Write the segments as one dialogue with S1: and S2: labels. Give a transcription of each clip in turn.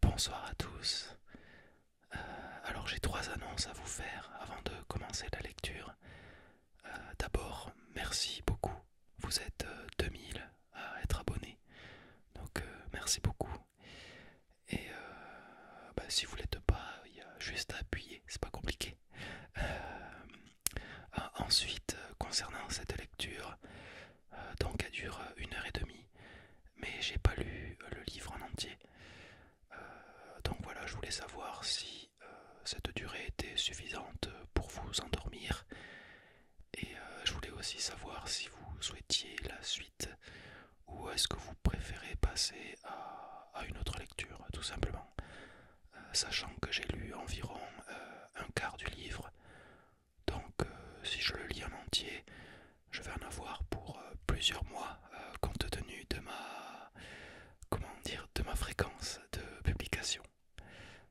S1: Bonsoir à tous. Euh, alors j'ai trois annonces à vous faire avant de commencer la lecture. Euh, d'abord, merci beaucoup. Vous êtes 2000 euh, à être abonnés. Donc merci beaucoup. Et bah, si vous l'êtes pas, il y a juste à appuyer, c'est pas compliqué. ensuite, concernant cette lecture, euh, donc elle dure euh, une heure et demie, mais j'ai pas lu euh, le livre en entier. donc voilà, je voulais savoir si cette durée était suffisante pour vous endormir, et je voulais aussi savoir si vous souhaitiez la suite ou est-ce que vous préférez passer à, une autre lecture, tout simplement, sachant que j'ai lu environ un quart du livre. Donc euh, si je le lis en entier, je vais en avoir pour euh, plusieurs mois euh, compte tenu de ma comment dire de ma fréquence de publication.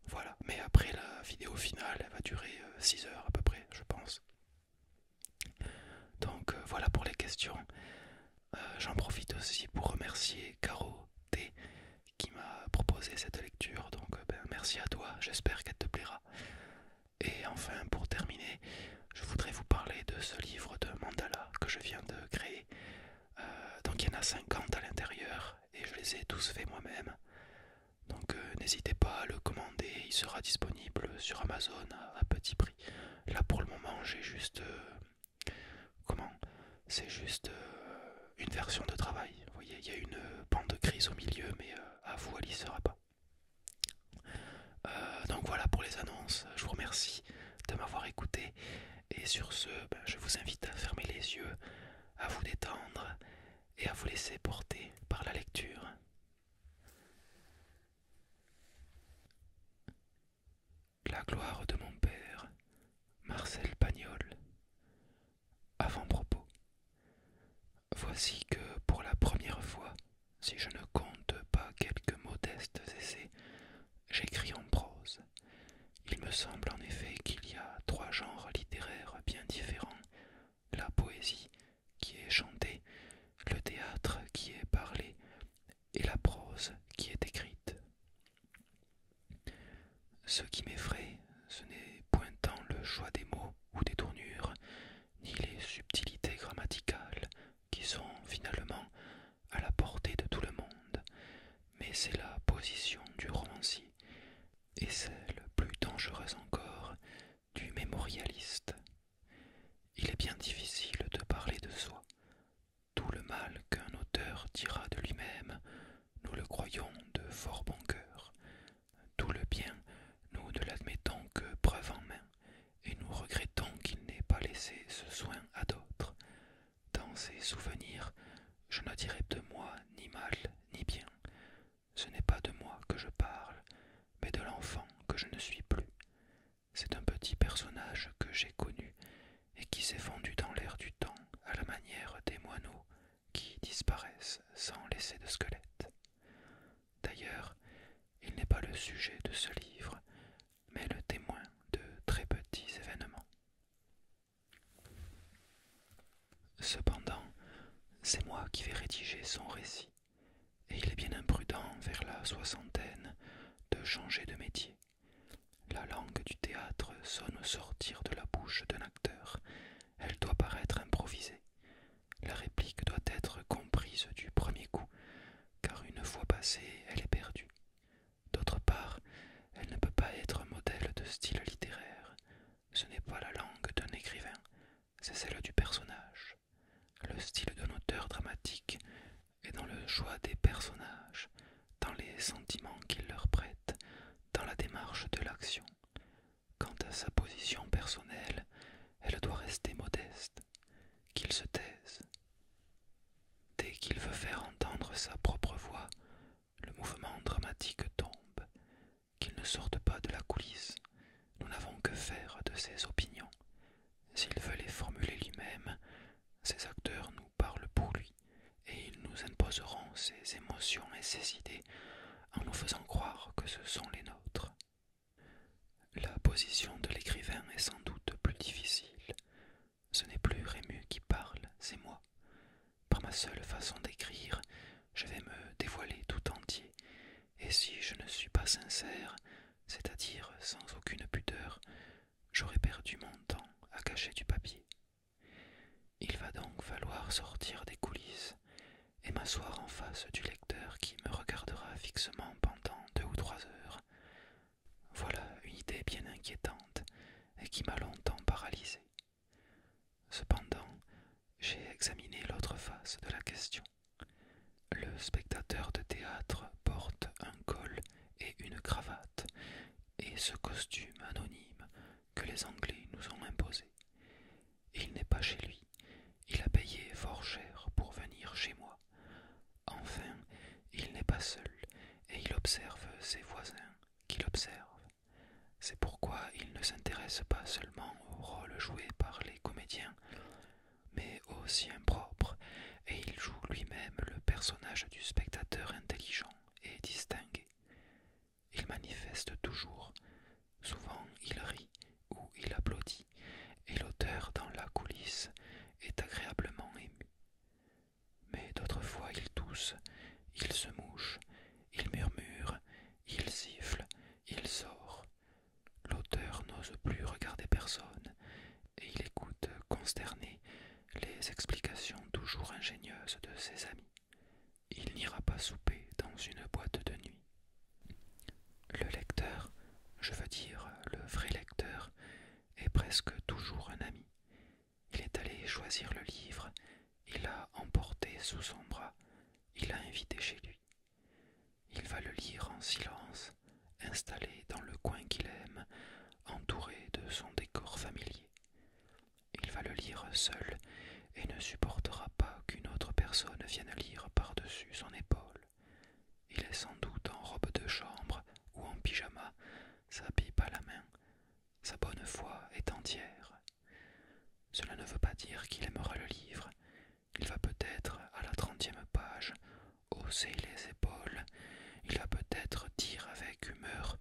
S1: Voilà, mais après la vidéo finale, elle va durer 6 heures à peu près, je pense. Donc voilà pour les questions. J'en profite aussi pour remercier Caro T qui m'a proposé cette lecture. Donc ben, merci à toi, j'espère qu'elle te plaira. Et enfin, pour terminer, je voudrais vous parler de ce livre de mandala que je viens de créer. Euh, donc il y en a 50 à l'intérieur et je les ai tous faits moi-même. Donc euh, n'hésitez pas à le commander, il sera disponible sur Amazon à, petit prix. Là pour le moment j'ai juste... Euh, comment C'est juste une version de travail. Vous voyez, il y a une bande grise au milieu mais à vous elle y sera pas. Euh, donc voilà pour les annonces, je vous remercie de m'avoir écouté et sur ce, ben, je vous invite à fermer les yeux, à vous détendre et à vous laisser porter par la lecture. La gloire de mon père, Marcel Pagnol. Avant-propos. Voici que pour la première fois, si je ne compte pas quelques modestes essais, j'écris en prose. Il me semble en effet qu'il y a trois genres littéraires bien différents la poésie qui est chantée, le théâtre qui est parlé, et la prose qui est écrite. Ce qui m'effraie, ce n'est point tant le choix des mots ou des tournures ni les subtilités grammaticales qui sont finalement à la portée de tout le monde, mais c'est la position du romancier et celle plus dangereuse encore du mémorialiste. Il est bien difficile de parler de soi. Tout le mal qu'un auteur dira de lui-même, nous le croyons de fort bon cœur, tout le bien, nous ne l'admettons que preuve en main, et nous regrettons qu'il n'ait pas laissé ce soin à d'autres. Dans ses souvenirs, je ne dirai de moi ni mal ni bien. Ce n'est pas de moi que je parle, mais de l'enfant que je ne suis plus. C'est un petit personnage que j'ai connu et qui s'est fondu dans l'air du temps à la manière des moineaux qui disparaissent sans laisser de squelette. D'ailleurs, il n'est pas le sujet de ce livre, mais le témoin de très petits événements. Cependant, c'est moi qui vais rédiger son récit, et il est bien imprudent, vers la soixantaine, de changer de métier. La langue du théâtre sonne au sortir de la bouche d'un acteur, elle doit paraître improvisée, la réplique doit être comprise du premier coup, car une fois passée, elle est perdue. D'autre part, elle ne peut pas être modèle de style littéraire. Ce n'est pas la langue d'un écrivain, c'est celle du personnage. Le style d'un auteur dramatique est dans le choix des personnages, dans les sentiments qu'il leur prête, dans la démarche de l'action. Quant à sa position personnelle, elle doit rester modeste, qu'il se taise. Dès qu'il veut faire entendre sa propre voix, le mouvement dramatique tombe, qu'il ne sorte pas de la coulisse. Nous n'avons que faire de ses opinions. S'il veut les formuler lui-même, ses acteurs nous parlent pour lui, et ils nous imposeront ses émotions et ses idées en nous faisant croire que ce sont les nôtres. La position de l'écrivain est sans doute plus difficile. Ce n'est plus Rému qui parle, c'est moi. Par ma seule façon d'écrire, je vais me dévoiler tout entier, et si je ne suis pas sincère, c'est-à-dire sans aucune pudeur, j'aurai perdu mon temps à cacher du papier. Il va donc falloir sortir des coulisses, et m'asseoir en face du lecteur qui me regardera fixement pendant deux ou trois heures. Voilà une idée bien inquiétante et qui m'a longtemps paralysé. Cependant, j'ai examiné l'autre face de la question. Le spectateur de théâtre porte un col et une cravate, et ce costume anonyme que les Anglais nous ont imposé. Il n'est pas chez lui. Il a payé fort cher pour venir chez moi. Enfin, il n'est pas seul, et il observe ses voisins qui l'observent. C'est pourquoi il ne s'intéresse pas seulement au rôle joué par les comédiens, mais au sien propre, et il joue lui-même le personnage du spectateur intelligent et distingué. Il manifeste toujours, Souvent il rit ou il applaudit, et l'auteur dans la coulisse est agréablement ému. Mais d'autres fois il tousse, il se mouche, il murmure, il siffle, il sort. L'auteur n'ose plus regarder personne, et il écoute consterné les explications toujours ingénieuses de ses amis. Il n'ira pas souper dans une boîte de nuit. Le lecteur, je veux dire le vrai lecteur, est presque toujours un ami. Il est allé choisir le livre, il l'a emporté sous son bras, il l'a invité chez lui. Il va le lire en silence, installé dans le coin qu'il aime, entouré de son décor familier. Il va le lire seul, et ne supportera pas qu'une autre personne vienne lire par-dessus son épaule. Il est sans doute en robe de chambre ou en pyjama, sa pipe à la main. Sa bonne foi est entière. Cela ne veut pas dire qu'il aimera le livre. Il va peut-être, à la trentième page, hausser les épaules. Il va peut-être dire avec humeur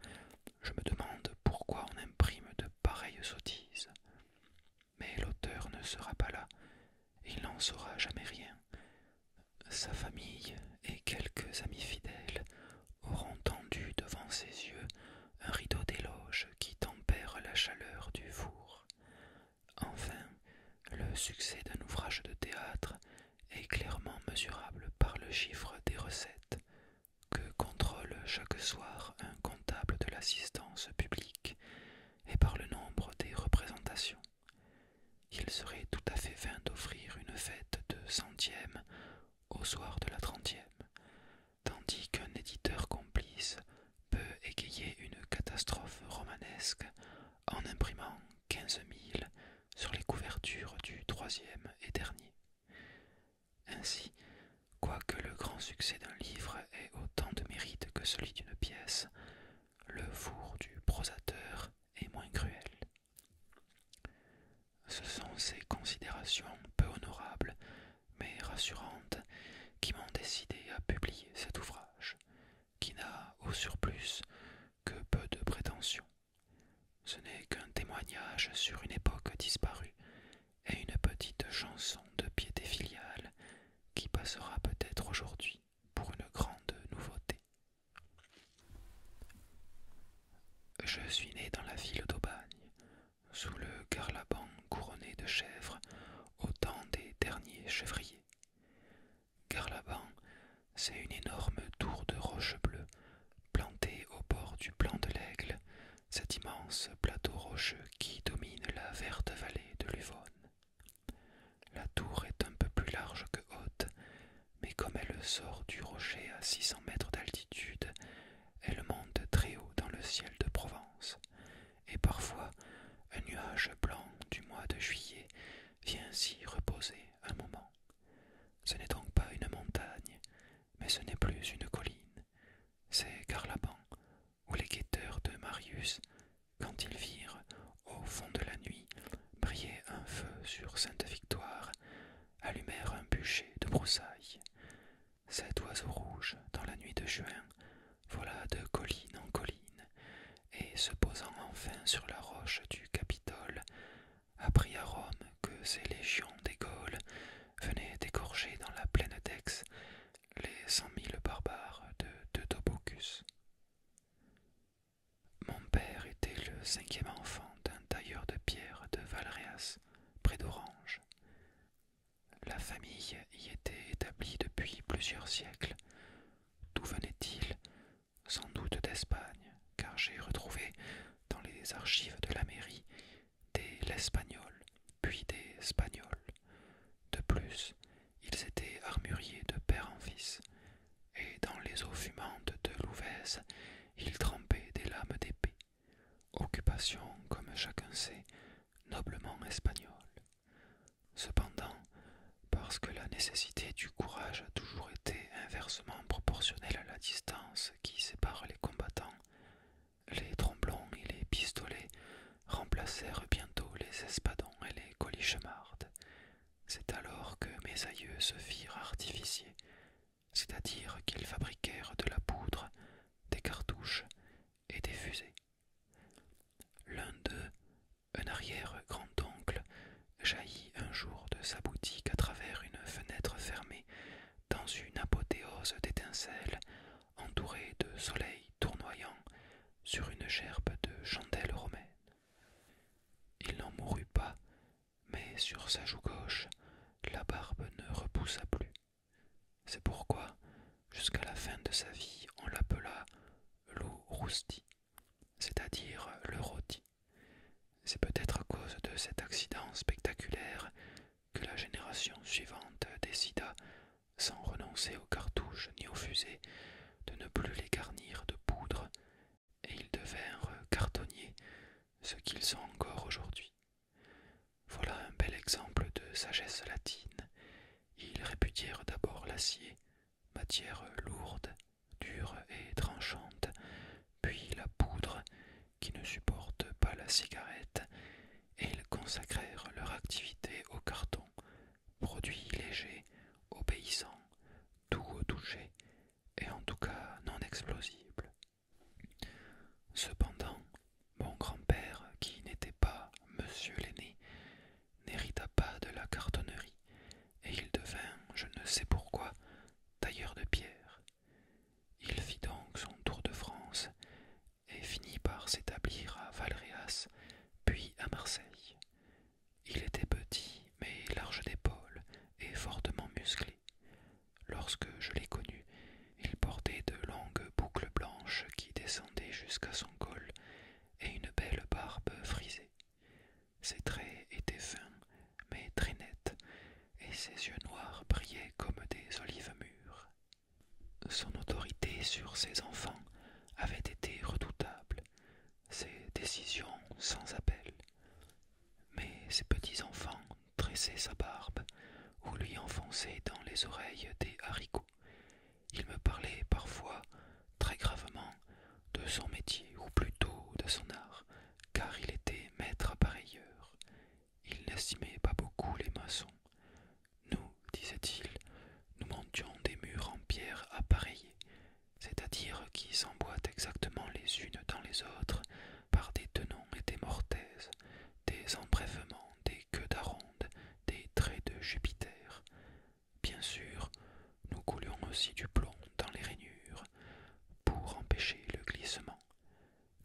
S1: Je me demande pourquoi on imprime de pareilles sottises mais l'auteur ne sera pas là, il n'en saura jamais rien. Sa famille et quelques amis fidèles auront tendu devant ses yeux un rideau d'éloge qui tempère la chaleur du four. Enfin, le succès d'un ouvrage de théâtre est clairement mesurable par le chiffre des recettes que contrôle chaque soir un comptable de l'assistance publique et par le nombre des représentations. Il serait tout à fait vain d'offrir une fête de centième au soir de la trentième, tandis qu'un éditeur complice peut égayer une catastrophe romanesque en imprimant quinze mille sur les couvertures du troisième et dernier. Ainsi, Quoique le grand succès d'un livre ait autant de mérite que celui d'une pièce, le four du prosateur est moins cruel. Ce sont ces considérations peu honorables, mais rassurantes, qui m'ont décidé à publier cet ouvrage, qui n'a, au surplus, que peu de prétentions. Ce n'est qu'un témoignage sur une époque disparue et une petite chanson de piété filiale, qui passera peut-être aujourd'hui pour une grande nouveauté. Je suis né dans la ville d'Aubagne, sous le carlaban couronné de chèvres au temps des derniers chevriers. Carlaban, c'est une énorme tour de roche bleue plantée au bord du plan de l'aigle, cet immense plateau rocheux qui domine la verte vallée de l'Uvonne. La tour est un peu plus large que haute, mais comme elle sort du rocher à six cents mètres d'altitude, elle monte très haut dans le ciel de Provence, et parfois un nuage blanc du mois de juillet vient s'y reposer un moment. Ce n'est donc pas une montagne, mais ce n'est plus une colline, c'est Carlaban, où les guetteurs de Marius, quand ils virent, au fond de la nuit, briller un feu sur Sainte-Victoire, allumèrent un bûcher de broussailles. Cet oiseau rouge, dans la nuit de juin, vola de colline en colline, et se posant enfin sur la roche du Capitole, apprit à Rome que ces légions des Gaules venaient d'égorger dans la plaine d'Aix les cent mille barbares de Tobocus. Mon père était le cinquième enfant d'un tailleur de pierre de Valréas, près d'Orange. La famille y était établie depuis plusieurs siècles. D'où venait-il Sans doute d'Espagne, car j'ai retrouvé dans les archives de la mairie des l'Espagnol puis des Espagnols. De plus, ils étaient armuriers de père en fils, et dans les eaux fumantes de Louvèze, ils trempaient des lames d'épée, occupation, comme chacun sait, noblement espagnole. Cependant, parce que la nécessité du courage a toujours été inversement proportionnelle à la distance qui sépare les combattants, les tromblons et les pistolets remplacèrent bientôt les espadons et les colichemardes. C'est alors que mes aïeux se firent artificier, c'est-à-dire qu'ils fabriquèrent de la poudre, des cartouches et des fusées. L'un d'eux, un arrière-grand-oncle, jaillit un jour de sa boutique à travers une fenêtre fermée dans une apothéose d'étincelles entouré de soleil tournoyant sur une gerbe de chandelles romaines. Il n'en mourut pas, mais sur sa joue gauche, la barbe ne repoussa plus. C'est pourquoi, jusqu'à la fin de sa vie, on l'appela l'eau rousti, c'est-à-dire le rôti. C'est peut-être à cause de cet accident spectaculaire que la génération suivante décida sans renoncer aux cartouches ni aux fusées, de ne plus les garnir de poudre, et ils devinrent cartonniers, ce qu'ils sont encore aujourd'hui. Voilà un bel exemple de sagesse latine. Ils répudièrent d'abord l'acier, matière lourde, dure et tranchante, puis la poudre, qui ne supporte pas la cigarette, et ils consacrèrent leur activité au carton, produit léger, obéissant, doux au toucher, et en tout cas non explosible. Cependant, mon grand-père, qui n'était pas monsieur l'aîné, n'hérita pas de la cartonnerie, et il devint, je ne sais pourquoi, tailleur de pierre. Il fit donc son tour de France et finit par s'établir à Valréas, puis à Marseille. Il était petit, mais large d'épaules et fortement musclé. Lorsque je l'ai connu, il portait de longues boucles blanches qui descendaient jusqu'à son col et une belle barbe frisée. Ses traits étaient fins, mais très nets, et ses yeux noirs brillaient comme des olives mûres. Son autorité sur ses enfants avait été redoutable, ses décisions sans appel. Mais ses petits-enfants tressaient sa barbe ou lui enfonçaient dans les oreilles des haricots. Il me parlait parfois très gravement de son métier ou plutôt de son art, car il était maître appareilleur. Il n'estimait pas beaucoup les maçons. Nous, disait-il, nous montions des murs en pierre appareillés, c'est-à-dire qui s'emboîtent exactement les unes dans les autres par des tenons et des mortaises, des embrèvements, des queues d'aronde, des traits de Jupiter. Bien sûr, nous coulions aussi du plomb dans les rainures pour empêcher le glissement,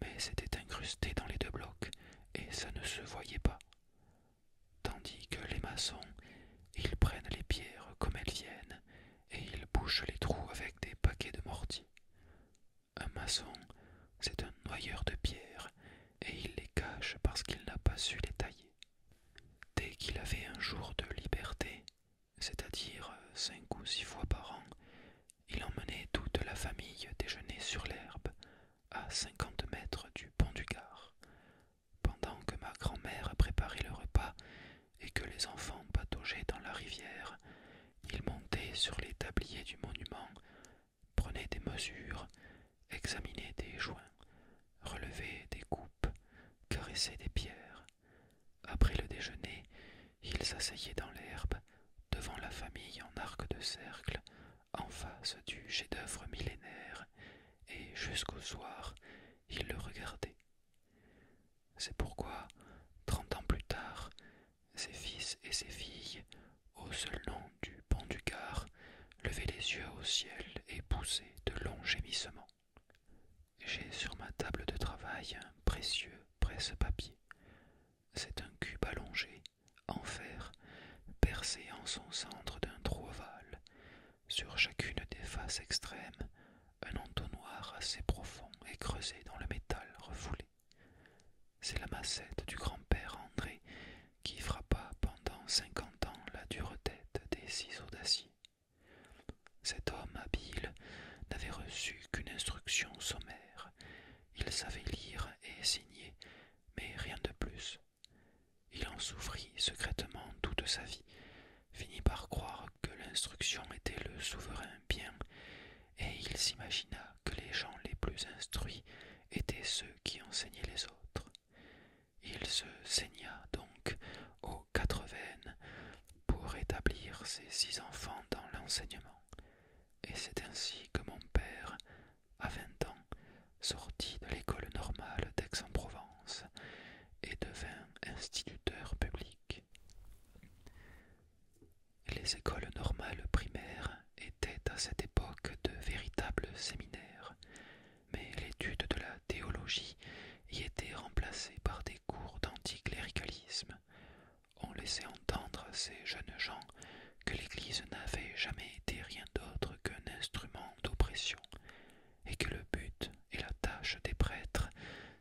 S1: mais c'était incrusté dans les deux blocs et ça ne se voyait pas tandis que les maçons, ils prennent les pierres comme elles viennent et ils bouchent les trous avec des paquets de mortier. Un maçon, c'est un noyeur de pierres et il les cache parce qu'il n'a pas su les tailler. Dès qu'il avait un jour de liberté, c'est-à-dire cinq ou six fois par an, il emmenait toute la famille déjeuner sur l'herbe, à cinquante mètres du pont du Gard, pendant que ma grand-mère préparait le repas et que les enfants pataugeaient dans la rivière, ils montaient sur les tabliers du monument, prenaient des mesures, examinaient des joints, relevaient des coupes, caressaient des pierres. Après le déjeuner, ils s'asseyaient dans l'herbe, devant la famille en arc de cercle, en face du chef-d'œuvre millénaire, et jusqu'au soir, il le regardait. C'est pourquoi, trente ans plus tard, ses fils et ses filles, au seul nom du pont du Gard, levaient les yeux au ciel et poussaient de longs gémissements. J'ai sur ma table de travail un précieux presse-papier. C'est un cube allongé en fer, percé en son centre d'un trou ovale, sur chacune des faces extrêmes, un entonnoir assez profond est creusé dans le métal refoulé. C'est la massette du grand-père André qui frappa pendant cinquante ans la dure tête des ciseaux d'acier. Cet homme habile n'avait reçu qu'une instruction sommaire. Il savait lire et signer, mais rien de plus. Il en souffrit secrètement toute sa vie, finit par croire que l'instruction était le souverain bien, et il s'imagina que les gens les plus instruits étaient ceux qui enseignaient les autres. Il se saigna donc aux quatre veines pour établir ses six enfants dans l'enseignement, et c'est ainsi que mon père à vingt ans, sortit de l'école normale d'Aix-en-Provence et devint instituteur public. Les écoles normales primaires étaient à cette époque de véritables séminaires, mais l'étude de la théologie y était remplacée par des cours d'anticléricalisme. On laissait entendre ces jeunes gens que l'Église n'avait jamais été rien d'autre qu'un instrument d'oppression, et que le but et la tâche des prêtres,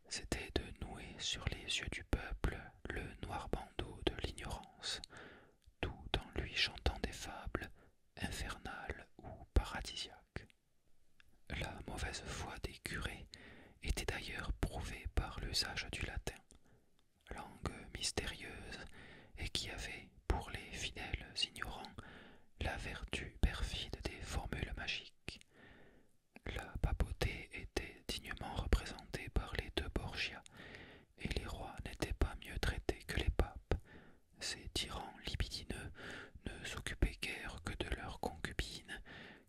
S1: c'était de nouer sur les yeux du peuple le noir bandeau de l'ignorance, tout en lui chantant des fables infernales ou paradisiaques. La mauvaise foi des curés était d'ailleurs prouvée par l'usage du latin, langue mystérieuse et qui avait, pour les fidèles ignorants la vertu perfide des formules magiques. La papauté était dignement représentée par les deux Borgia, et les rois n'étaient pas mieux traités que les papes. Ces tyrans libidineux ne s'occupaient guère que de leurs concubines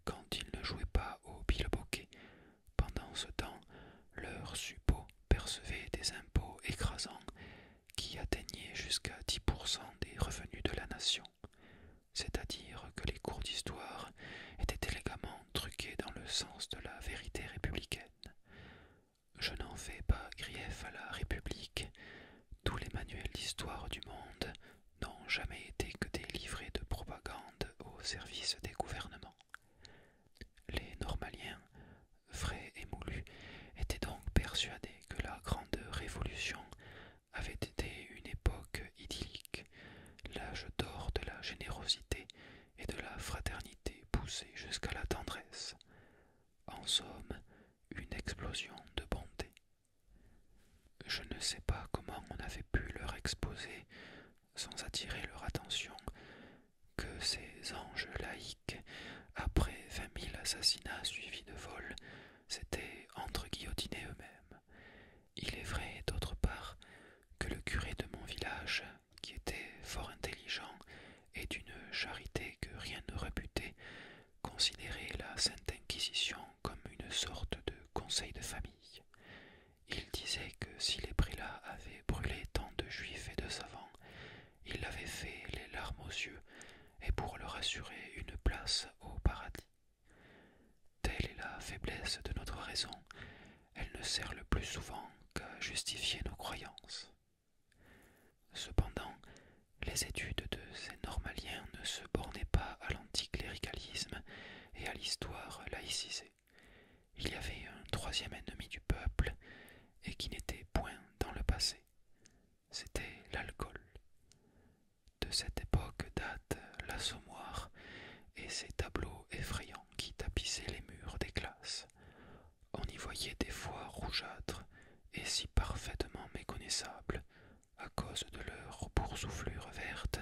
S1: quand ils ne jouaient pas au bilboquet. Pendant ce temps, leurs percevaient des impôts écrasants qui atteignaient jusqu'à 10% des revenus de la nation, c'est-à-dire que les cours d'histoire étaient élégamment truqués dans le sens de la vérité républicaine. Je n'en fais pas grief à la République, tous les manuels d'histoire du monde n'ont jamais été que des livrets de propagande au service des gouvernements. Les normaliens frais et moulu, était donc persuadé que la Grande Révolution avait été une époque idyllique, l'âge d'or de la générosité et de la fraternité poussée jusqu'à la tendresse. En somme, une explosion de bonté. Je ne sais pas comment on avait pu leur exposer, sans attirer leur attention, que ces anges laïques, après vingt mille assassinats suivis de vols, s'étaient entre-guillotinés eux-mêmes. Il est vrai, d'autre part, que le curé de mon village, qui était fort intelligent et d'une charité que rien ne réputait, considérait la Sainte Inquisition comme une sorte de conseil de famille. Il disait que si les prélats avaient brûlé tant de juifs et de savants, il l'avait fait les larmes aux yeux, et pour leur assurer une place au paradis. Telle est la faiblesse de notre raison, elle ne sert le plus souvent qu'à justifier nos croyances. Cependant, les études de ces normaliens ne se bornaient pas à l'anticléricalisme et à l'histoire laïcisée. Il y avait un troisième ennemi du peuple, et qui n'était point dans le passé. C'était l'alcool. De cette époque date l'assommoir et ces tableaux effrayants qui tapissaient les murs des classes. On y voyait des fois rougeâtres et si parfaitement méconnaissables à cause de leur boursouflure verte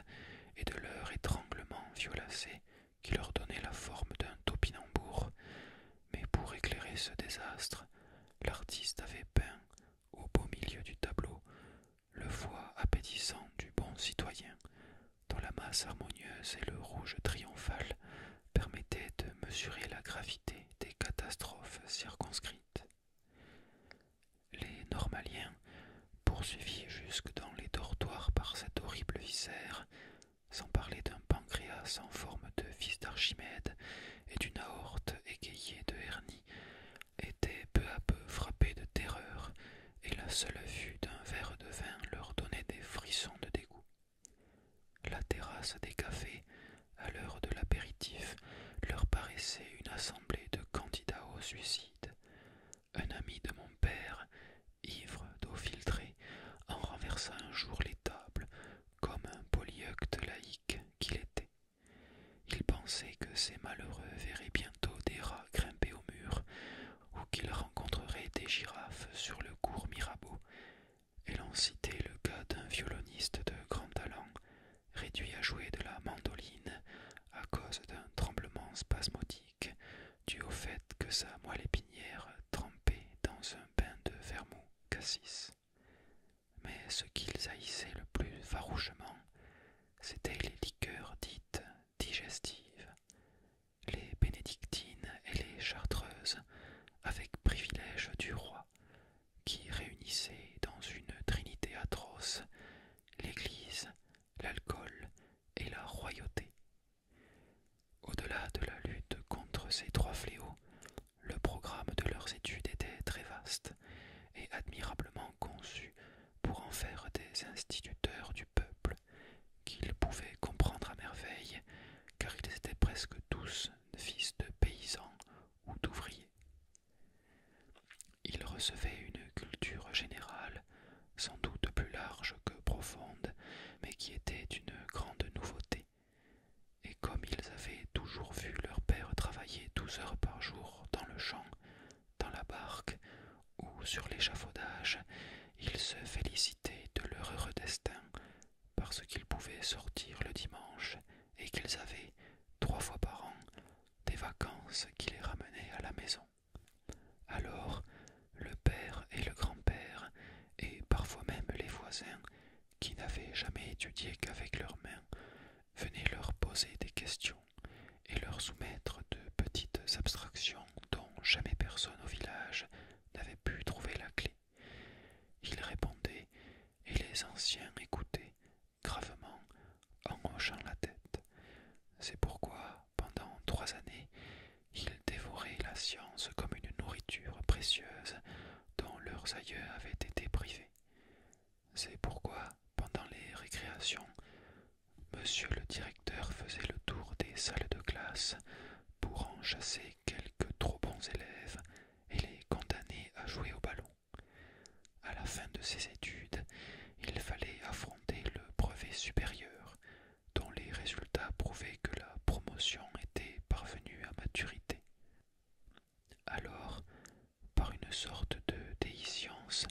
S1: et de leur étranglement violacé qui leur donnait la forme d'un topinambour, mais pour éclairer ce désastre, l'artiste avait peint, au beau milieu du tableau, le foie appétissant du bon citoyen, dont la masse harmonieuse et le rouge triomphal permettaient de mesurer la gravité des catastrophes circonscrites. Les normaliens, poursuivis jusque dans les dortoirs par cette horrible viscère, sans parler d'un pancréas en forme de fils d'Archimède et d'une aorte égayée de hernie, étaient peu à peu frappés de terreur, et la seule vue d'un verre de vin leur donnait des frissons de dégoût. La terrasse des cafés, à l'heure de l'apéritif, leur paraissait une assemblée de candidats au suicide. Un ami de mon père, ivre d'eau filtrée, en renversant un jour les tables comme un polyeucte laïque qu'il était. Il pensait que ces malheureux verraient bientôt des rats grimper au mur ou qu'ils rencontreraient des girafes sur le cours Mirabeau, et l'on citait le cas d'un violoniste de grand talent réduit à jouer de la mandoline à cause d'un tremblement spasmodique dû au fait que sa moelle épinière trempée dans un bain de vermouth mais ce qu'ils haïssaient le plus farouchement, c'étaient les liqueurs dites digestives, les bénédictines et les chartreuses, avec privilège du roi, qui réunissaient dans une trinité atroce l'église, l'alcool et la royauté au-delà de la lutte contre ces trois fléaux, le programme de leurs études était très vaste et admirablement conçu pour en faire des instituteurs du peuple qu'ils pouvaient comprendre à merveille, car ils étaient presque tous fils de paysans ou d'ouvriers. Ils recevaient une culture générale, sans doute plus large que profonde, mais qui était une grande nouveauté et comme ils avaient toujours vu leur père travailler douze heures par jour dans le champ, dans la barque ou sur l'échafaudage, ils se félicitaient de leur heureux destin parce qu'ils pouvaient sortir le dimanche et qu'ils avaient, trois fois par an, des vacances qui les ramenaient à la maison. Alors le père et le grand-père et parfois même les voisins, qui n'avaient jamais étudié qu'avec leurs mains, venaient leur poser des questions et leur soumettre de petites abstractions dont jamais personne au village n'avait pu trouver la clé. Ils répondaient, et les anciens écoutaient, gravement, en hochant la tête. C'est pourquoi, pendant trois années, ils dévoraient la science comme une nourriture précieuse dont leurs aïeux avaient été privés. C'est pourquoi, pendant les récréations, monsieur le directeur faisait le tour des salles de classe pour en chasser quelques trop bons élèves et les condamner à jouer au ballon. À la fin de ses études, il fallait affronter le brevet supérieur, dont les résultats prouvaient que la promotion était parvenue à maturité. Alors, par une sorte de déhiscence,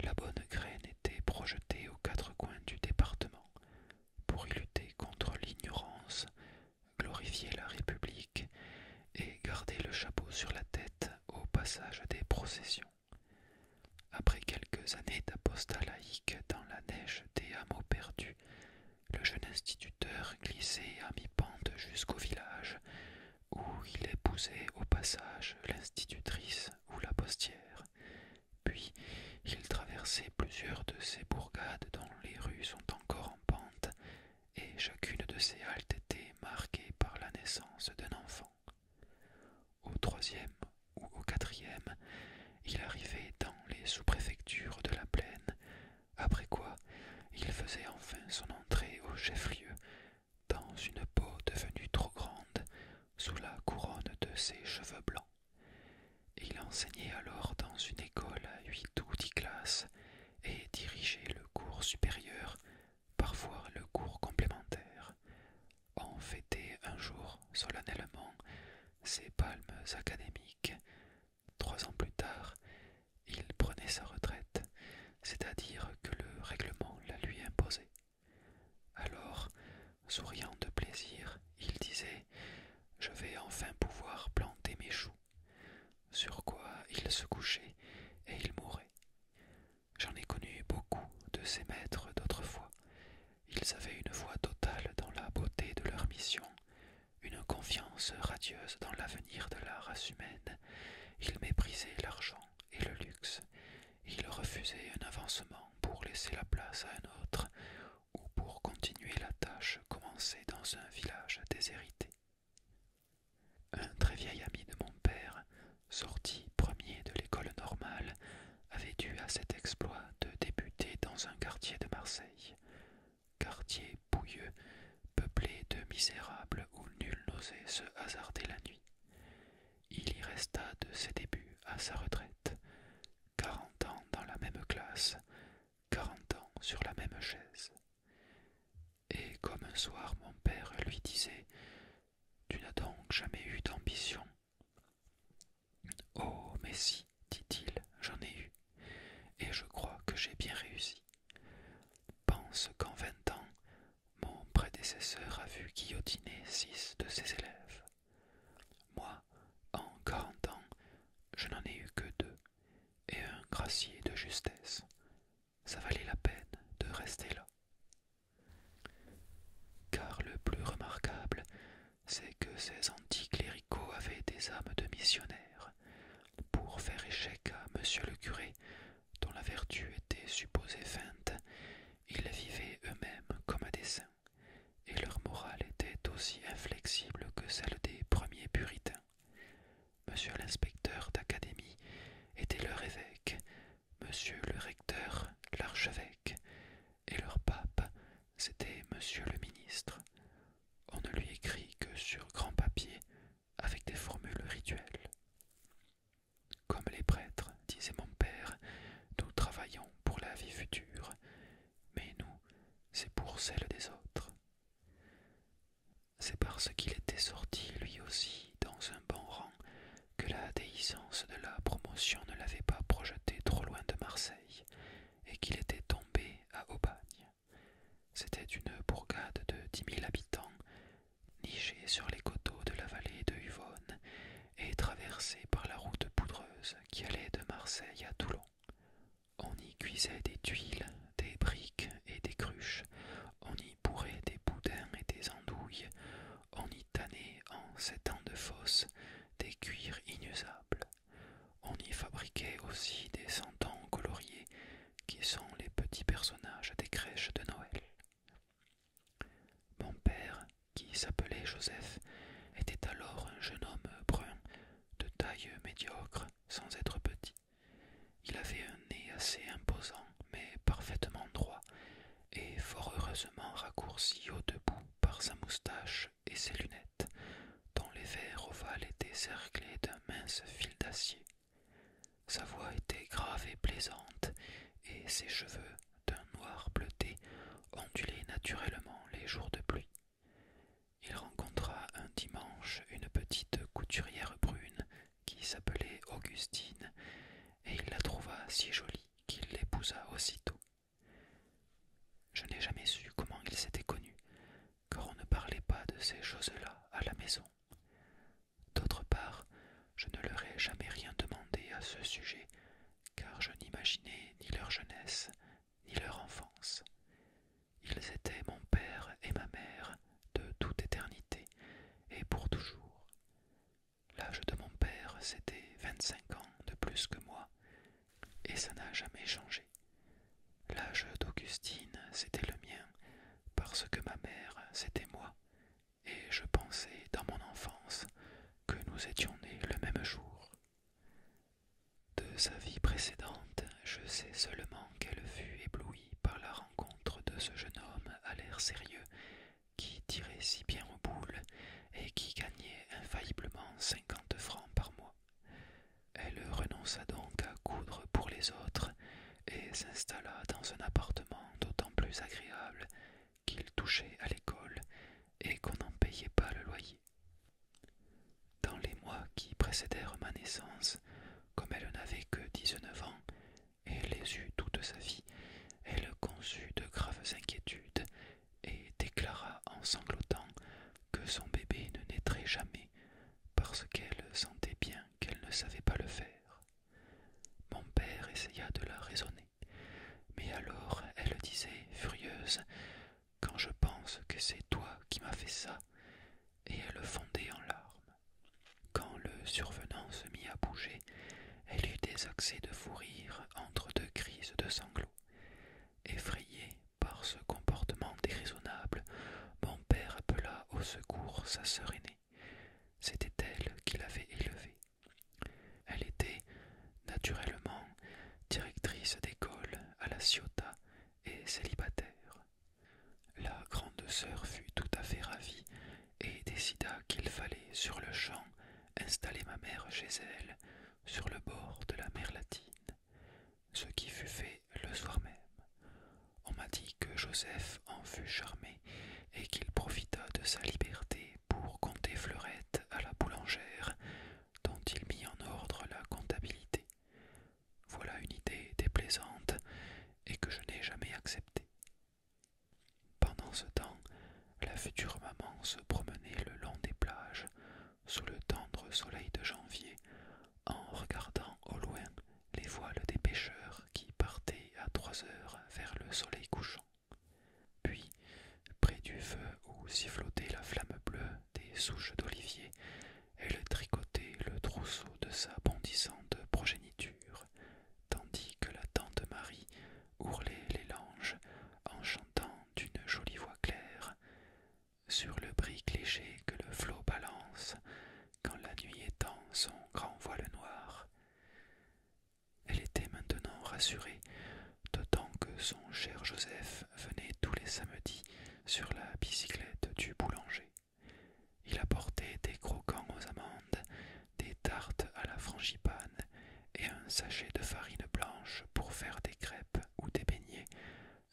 S1: la bonne graine était projetée aux quatre coins du département pour y lutter contre l'ignorance, glorifier la République et garder le chapeau sur la tête au passage des processions. Après quelques années d'apostat laïque dans la neige des hameaux perdus, le jeune instituteur glissait à mi-pente jusqu'au village, où il épousait au passage l'institutrice ou la postière. Puis il traversait plusieurs de ces bourgades dont les rues sont encore en pente, et chacune de ces haltes était marquée par la naissance d'un enfant. Au troisième ou au quatrième, il arrivait dans les sous-préfectures de la plaine, après quoi il faisait enfin son entrée au chef-lieu, dans une peau devenue trop grande, sous la couronne de ses cheveux blancs. Il enseignait alors dans une école à huit ou dix classes et dirigeait le cours supérieur, parfois le cours complémentaire. On fêtait un jour solennellement ses palmes académiques, trois ans plus tard, il prenait sa retraite, c'est-à-dire que le règlement la lui imposait. Alors, souriant de plaisir, il disait Je vais enfin pouvoir planter mes choux. Sur quoi il se couchait et il mourait. J'en ai connu beaucoup de ces maîtres d'autrefois. Ils avaient une foi totale dans la beauté de leur mission, une confiance radieuse dans l'avenir de la race humaine, il méprisait l'argent et le luxe, il refusait un avancement pour laisser la place à un autre ou pour continuer la tâche commencée dans un village déshérité. Un très vieil ami de mon père, sorti premier de l'école normale, avait dû à cet exploit de débuter dans un quartier de Marseille, quartier bouilleux, peuplé de misérables où nul n'osait se hasarder la nuit. Il y resta de ses débuts à sa retraite, quarante ans dans la même classe, quarante ans sur la même chaise. Et comme un soir mon père lui disait Tu n'as donc jamais eu d'ambition Oh, mais si, dit-il, j'en ai eu, et je crois que j'ai bien réussi. Pense qu'en vingt ans, mon prédécesseur a vu guillotiner six de ses élèves. Moi, en quarante ans, je n'en ai eu que deux, et un gracier de justesse. Ça valait la peine de rester là. Car le plus remarquable, c'est que ces anticléricaux avaient des âmes de missionnaires pour faire échec à monsieur le curé, dont la vertu était supposée feinte, ils vivaient eux-mêmes comme à dessein, et leur morale était aussi inflexible que celle des premiers puritains. Monsieur l'inspecteur d'académie était leur évêque, monsieur le recteur l'archevêque, et leur pape c'était Monsieur le ministre. On ne lui écrit que sur grand papier, avec des formules rituelles. Comme les prêtres, disait mon père, nous travaillons pour la vie future, mais nous, c'est pour celle des autres. C'est parce qu'il était sorti lui aussi dans un bon rang que la déhiscence de la promotion ne l'avait pas projeté trop loin de Marseille, et qu'il était tombé à Aubagne. C'était une bourgade de dix mille habitants, nichée sur les coteaux de la vallée de Huvonne et traversée par la route poudreuse qui allait de Marseille à Toulon. On y cuisait des tuiles, des briques et des cruches, on y bourrait des boudins et des andouilles, on y tannait en sept ans de fosse des cuirs inusables. On y fabriquait aussi des sentants coloriés qui sont les petits personnages des crèches de Noël. Mon père, qui s'appelait Joseph, était alors un jeune homme brun, de taille médiocre, sans être petit. Il avait un nez assez imposant, mais parfaitement droit, et fort heureusement raccourci au debout par sa moustache et ses lunettes, dont les verres ovales étaient cerclés d'un mince fil d'acier. Sa voix était grave et plaisante, et ses cheveux, d'un noir bleuté, ondulaient naturellement les jours de pluie. Il rencontra un dimanche une petite couturière brune qui s'appelait Augustine, et il la trouva si jolie qu'il l'épousa aussitôt. Je n'ai jamais su comment ils s'étaient connus, car on ne parlait pas de ces choses-là à la maison. D'autre part, je ne leur ai jamais rien demandé à ce sujet, car je n'imaginais ni leur jeunesse, ni leur enfance. Ils étaient mon père et ma mère de toute éternité et pour toujours. L'âge de mon père, c'était vingt-cinq ans de plus que moi, et ça n'a jamais changé. L'âge d'Augustine, c'était le mien, parce que ma mère, c'était moi, et je pensais dans mon enfance que nous étions nés le même jour. De sa vie précédente, je sais seulement qu'elle fut éblouie par la rencontre de ce jeune homme à l'air sérieux qui tirait si bien aux boules et qui gagnait infailliblement cinquante francs par mois. Elle renonça donc à coudre pour les autres et s'installa dans un appartement d'autant plus agréable qu'il touchait à l'école et qu'on n'en payait pas le loyer. Dans les mois qui précédèrent ma naissance, comme elle n'avait que dix-neuf ans et les eut toute sa vie, elle conçut de graves inquiétudes et déclara en sanglotant que son bébé ne naîtrait jamais parce qu'elle sentait bien qu'elle ne savait pas le faire. Mon père essaya de la raisonner, mais alors elle disait, furieuse, Quand je pense que c'est toi qui m'as fait ça, et elle fondait en larmes. Quand le survenant se mit à bouger, elle eut des accès de fou rire entre deux crises de sanglots. Effrayé par ce comportement déraisonnable, mon père appela au secours sa sœur aînée. C'était elle qui l'avait élevée. Elle était, naturellement, directrice d'école à la Ciotat et célibataire. La grande sœur fut tout à fait ravie et décida qu'il fallait sur le champ installer ma mère chez elle, sur le bord de la mer latine ce qui fut fait le soir même. On m'a dit que Joseph en fut charmé et qu'il profita de sa liberté pour compter fleurette à la boulangère, dont il mit en ordre la comptabilité. Voilà une idée déplaisante et que je n'ai jamais acceptée. Pendant ce temps, la future maman se promenait le long des plages, sous le tendre soleil de janvier, en regardant au loin les voiles des pêcheurs qui partaient à trois heures vers le soleil couchant. Puis, près du feu où sifflotait la flamme bleue des souches d'olivier, elle tricotait le trousseau de sa bondissante progéniture, tandis que la tante Marie ourlait les langes en chantant d'une jolie voix claire sur le brick léger que le flot balance quand la nuit étend son grand voile noir. Elle était maintenant rassurée, d'autant que son cher Joseph venait tous les samedis sur la bicyclette du boulanger. Il apportait des croquants aux amandes, des tartes à la frangipane et un sachet de farine blanche pour faire des crêpes ou des beignets,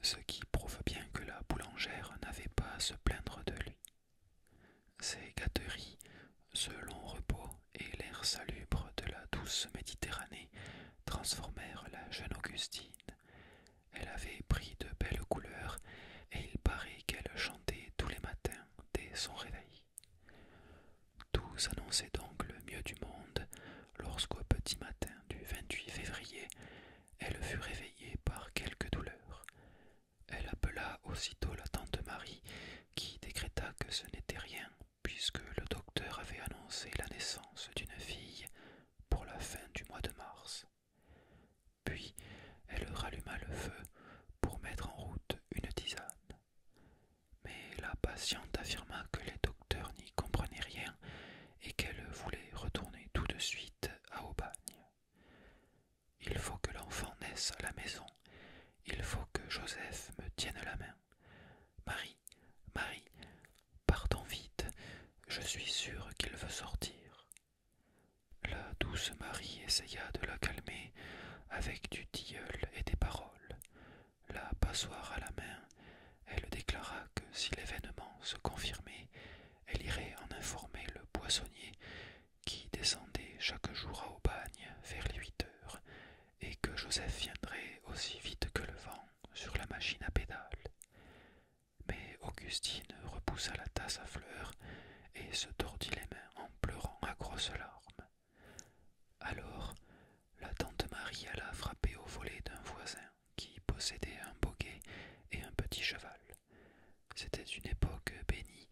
S1: ce qui prouve bien que la boulangère n'avait pas à se plaindre de lui. Ses gâteries, ce long repos et l'air salubre de la douce Méditerranée transformèrent la jeune Augustine. Elle avait pris de belles couleurs et il paraît qu'elle chantait tous les matins dès son réveil. Tout s'annonçait donc le mieux du monde lorsqu'au petit matin du 28 février, elle fut réveillée par quelques douleurs. Elle appela aussitôt la tante Marie, qui décréta que ce n'était rien, puisque le docteur avait annoncé la naissance d'une fille pour la fin du mois de mars. Puis elle ralluma le feu pour mettre en route une tisane. Mais la patiente affirma que les docteurs n'y comprenaient rien et qu'elle voulait retourner tout de suite à Aubagne. Il faut que l'enfant naisse à la maison, il faut que Joseph me tienne la main. Marie, Marie, partons vite, je suis sûre qu'il veut sortir. La douce Marie essaya de la calmer avec du tilleul et des paroles la passoire à la main, elle déclara que si l'événement se confirmait, elle irait en informer le poissonnier qui descendait chaque jour à Aubagne vers les huit heures, et que Joseph viendrait aussi vite que le vent sur la machine à pédales. Mais Augustine repoussa la tasse à fleurs et se tordit les mains en pleurant à grosses larmes. Alors la tante Marie alla frapper au volet d'un voisin qui possédait un boguet et un petit cheval. C'était une époque bénie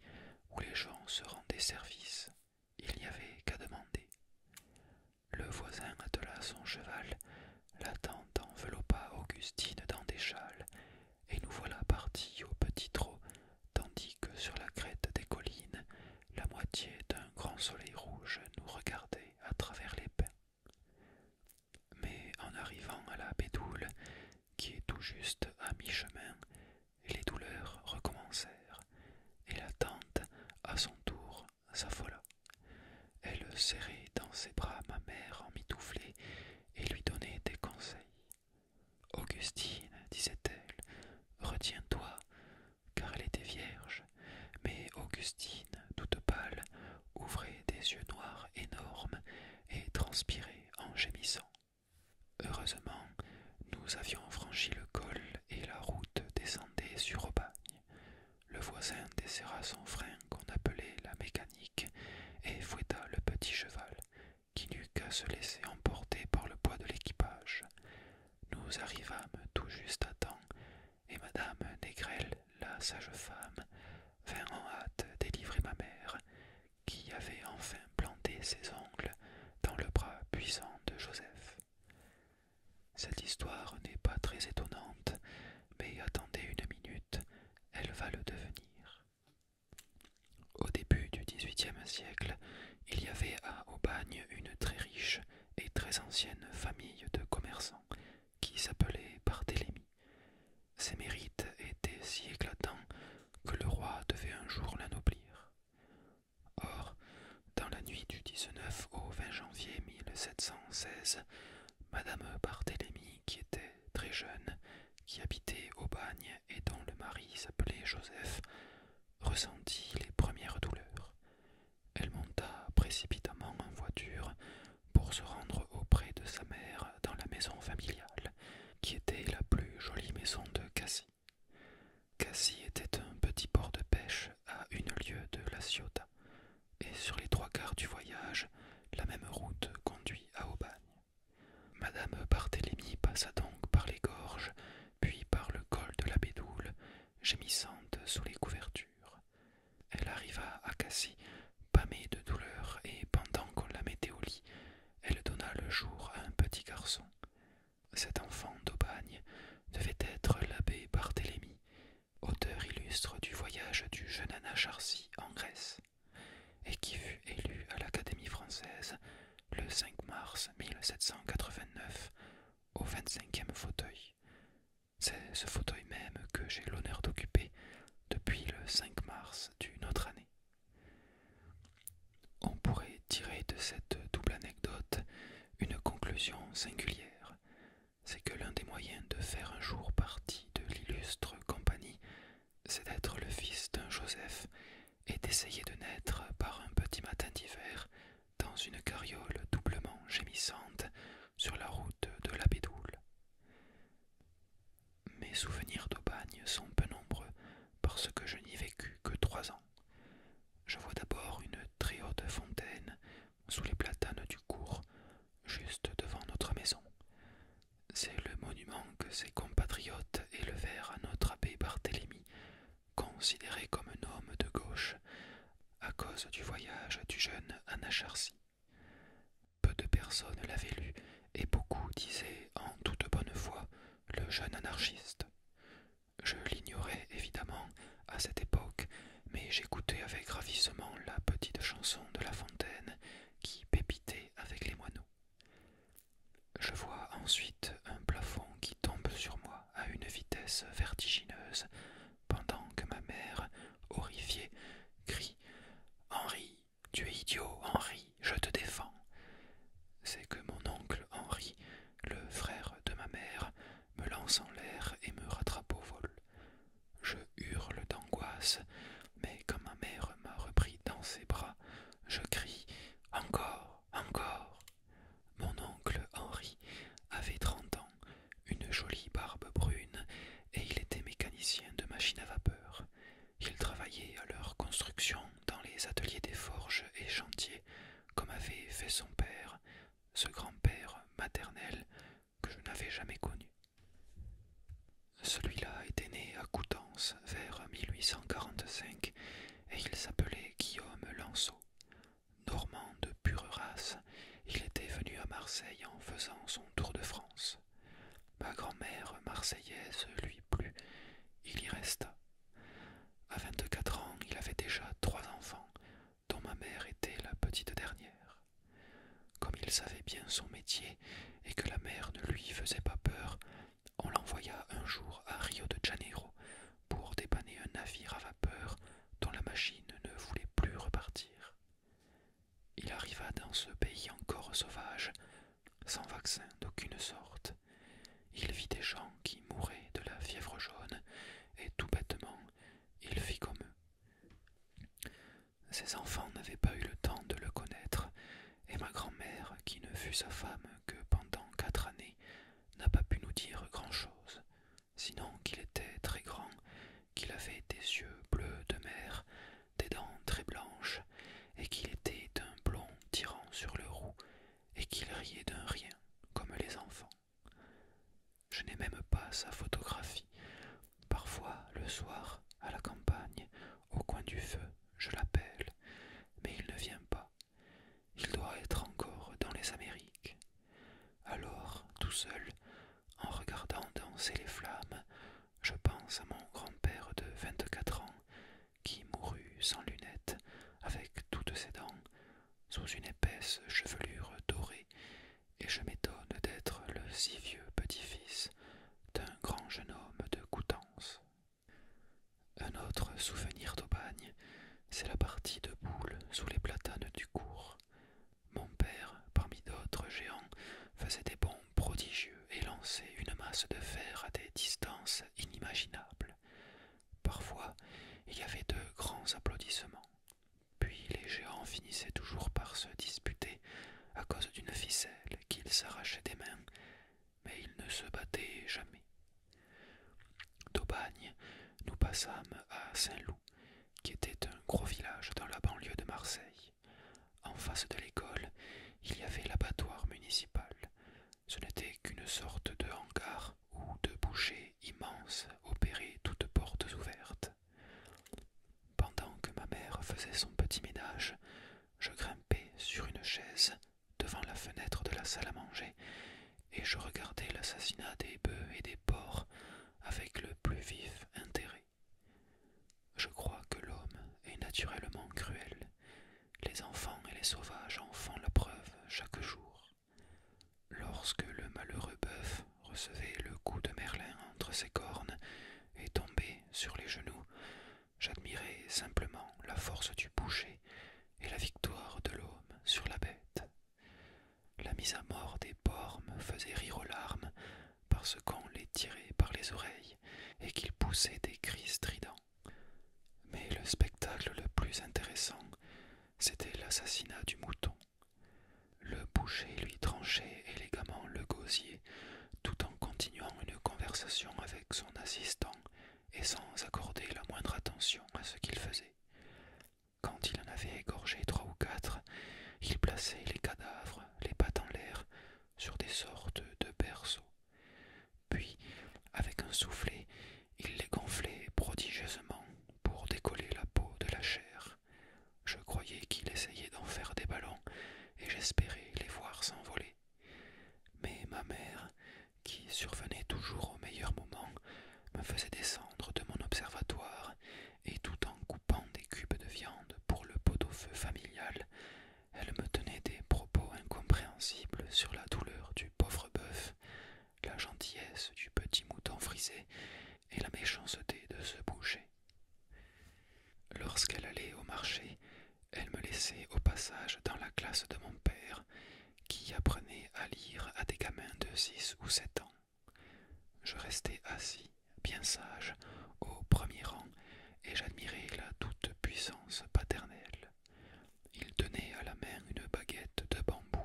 S1: où les gens se rendaient service, il n'y avait qu'à demander. Le voisin attela son cheval, la tante enveloppa Augustine dans des châles, et nous voilà partis au petit trot, tandis que sur la crête des collines, la moitié d'un grand soleil rouge nous regardait à travers les pins. Mais en arrivant à la Bédoule, qui est tout juste à mi-chemin, les douleurs recommencèrent, et la tante, à son tour, s'affola. Elle serrait dans ses bras ma mère en emmitouflée et lui donnait des conseils. Augustine, disait-elle, retiens-toi, car elle était vierge mais Augustine, toute pâle, ouvrait des yeux noirs énormes et transpirait en gémissant. Heureusement, nous avions franchi le col et la route descendait sur Aubagne. Le voisin desserra son frein qu'on appelait la mécanique et fouetta le petit cheval, qui n'eut qu'à se laisser emporter par le poids de l'équipage. Nous arrivâmes tout juste à temps et madame Négrel, la sage-femme, vint en hâte délivrer ma mère, qui avait enfin planté ses ongles dans le bras puissant de Joseph. Cette histoire n'est pas très étonnante, mais attendez une minute, elle va le devenir. Au début du XVIIIe siècle, il y avait à Aubagne une très riche et très ancienne famille de commerçants qui s'appelait Barthélemy. Ses mérites étaient si éclatants que le roi devait un jour l'anoblir. Or, dans la nuit du 19 au 20 janvier 1716, Madame Barthélemy, qui était très jeune, qui habitait au bagne et dont le mari s'appelait Joseph, ressentit les premières douleurs. Elle monta précipitamment en voiture pour se rendre auprès de sa mère dans la maison familiale, qui était la plus jolie maison de Cassis. Cassis était un petit port de pêche à une lieue de la Ciotat, et sur les trois quarts du voyage, la même route conduit à Aubagne. Madame Barthélemy passa donc par les gorges, puis par le col de la Bédoule, gémissante sous les couvertures. Elle arriva à Cassis, pâmée de douleur, et pendant qu'on la mettait au lit, elle donna le jour à un petit garçon. Cet enfant d'Aubagne devait être l'abbé Barthélemy, auteur illustre du voyage du jeune Anna Charcy en Grèce, et qui fut élu à l'Académie française le 5 mars 1789 au 25e fauteuil, c'est ce fauteuil même que j'ai l'honneur d'occuper depuis le 5 mars d'une autre année. On pourrait tirer de cette double anecdote une conclusion singulière, c'est que l'un des moyens de faire un jour partie de l'illustre compagnie, c'est d'être le fils d'un Joseph et d'essayer de naître par un petit matin d'hiver dans une carriole doublement gémissante sur la route de la Bédoule. Mes souvenirs d'Aubagne sont peu nombreux parce que je n'y vécu que trois ans. Je vois d'abord une très haute fontaine sous les platanes du cours, juste devant notre maison. C'est le monument que ses compatriotes élevèrent à notre abbé Barthélemy, considéré comme un homme de gauche, à cause du voyage du jeune Anacharsis. Peu de personnes l'avaient lu, et beaucoup disaient en toute bonne foi le jeune anarchiste. Je l'ignorais évidemment à cette époque, mais j'écoutais avec ravissement la petite chanson de La Fontaine qui pépitait avec les moineaux. Je vois ensuite un plafond qui tombe sur moi à une vitesse vertigineuse, pendant que ma mère, horrifiée, crie Henri, tu es idiot, Henri, je te défends. C'est que mon oncle Henri, le frère de ma mère, me lance en l'air et me rattrape au vol. Je hurle d'angoisse, mais quand ma mère m'a repris dans ses bras, je crie Encore, encore. Mon oncle Henri avait trente une jolie barbe brune, et il était mécanicien de machines à vapeur. Il travaillait à leur construction dans les ateliers des forges et chantiers, comme avait fait son père, ce grand-père maternel que je n'avais jamais connu. Celui-là était né à Coutances vers 1845 et il s'appelait Guillaume Lanceau. Normand de pure race, il était venu à Marseille en faisant son tour de France. Ma grand-mère marseillaise lui plut, il y resta. À vingt-quatre ans, il avait déjà trois enfants, dont ma mère était la petite dernière. Comme il savait bien son métier et que la mère ne lui faisait pas peur, on l'envoya un jour à Rio de Janeiro pour dépanner un navire à vapeur dont la machine ne voulait plus repartir. Il arriva dans ce pays encore sauvage, sans vaccin d'aucune sorte. Il vit des gens qui mouraient de la fièvre jaune, et tout bêtement, il fit comme eux. Ses enfants n'avaient pas eu le temps de le connaître, et ma grand-mère, qui ne fut sa femme que pendant quatre années, n'a pas pu nous dire grand-chose sinon qu'il était très grand, qu'il avait des yeux bleus de mer, des dents très blanches, et qu'il était d'un blond tirant sur le roux, et qu'il riait d'un rien, comme les enfants. Je n'ai même pas sa photographie. Parfois, le soir, à la campagne, au coin du feu, je l'appelle, mais il ne vient pas. Il doit être encore dans les Amériques. Alors, tout seul, en regardant danser les flammes, je pense à mon grand-père de vingt-quatre ans, qui mourut sans lunettes, avec toutes ses dents, sous une épaisse chevelure dorée, et je m'étonne d'être le si vieux petit-fils d'un grand jeune homme de Coutances. Un autre souvenir bagne, c'est la partie de boules sous les platanes du cours. Mon père, parmi d'autres géants, faisait des bonds prodigieux et lançait une masse de fer à des distances inimaginables. Parfois, il y avait de grands applaudissements. Puis les géants finissaient toujours par se disputer à cause d'une ficelle qu'ils s'arrachaient des mains, mais ils ne se battaient jamais. D'Aubagne, nous passâmes à Saint-Loup, qui était un gros village dans la banlieue de Marseille. En face de l'école, il y avait l'abattoir municipal. Ce n'était qu'une sorte de hangar ou de immense immense, opéraient toutes portes ouvertes. Pendant que ma mère faisait son petit ménage, je grimpais sur une chaise devant la fenêtre de la salle à manger et je regardais l'assassinat des bœufs et des porcs avec le plus vif intérêt. Je crois que l'homme est naturellement cruel. Les enfants et les sauvages en font la preuve chaque jour. Lorsque le malheureux bœuf recevait le coup de Merlin entre ses cornes et tombait sur les genoux, j'admirais simplement la force du boucher et la victoire de l'homme sur la bête. La mise à mort des porcs faisait rire aux larmes parce qu'on les tirait par les oreilles et qu'ils poussaient des cris stridents. Mais le spectacle le plus intéressant, c'était l'assassinat du mouton. Le boucher lui tranchait élégamment le gosier tout en continuant une conversation avec son assistant et sans accorder la moindre attention à ce qu'il faisait. Quand il en avait égorgé trois ou quatre, il plaçait les cadavres, les pattes en l'air, sur des sortes de berceaux. Puis, avec un soufflet, il les gonflait prodigieusement pour décoller la peau de la chair. Je croyais qu'il essayait d'en faire des ballons, et j'espérais les voir s'envoler. Mais ma mère, qui survenait toujours au meilleur moment, me faisait descendre de mon observatoire et tout en coupant des cubes de viande pour le pot-au-feu familial, elle me tenait des propos incompréhensibles sur la douleur du pauvre bœuf, la gentillesse du petit mouton frisé et la méchanceté de ce boucher. Lorsqu'elle allait au marché, elle me laissait au passage dans la classe de mon père, qui apprenait à lire à des gamins de six ou sept ans. Je restai assis, bien sage, au premier rang, et j'admirais la toute-puissance paternelle. Il tenait à la main une baguette de bambou.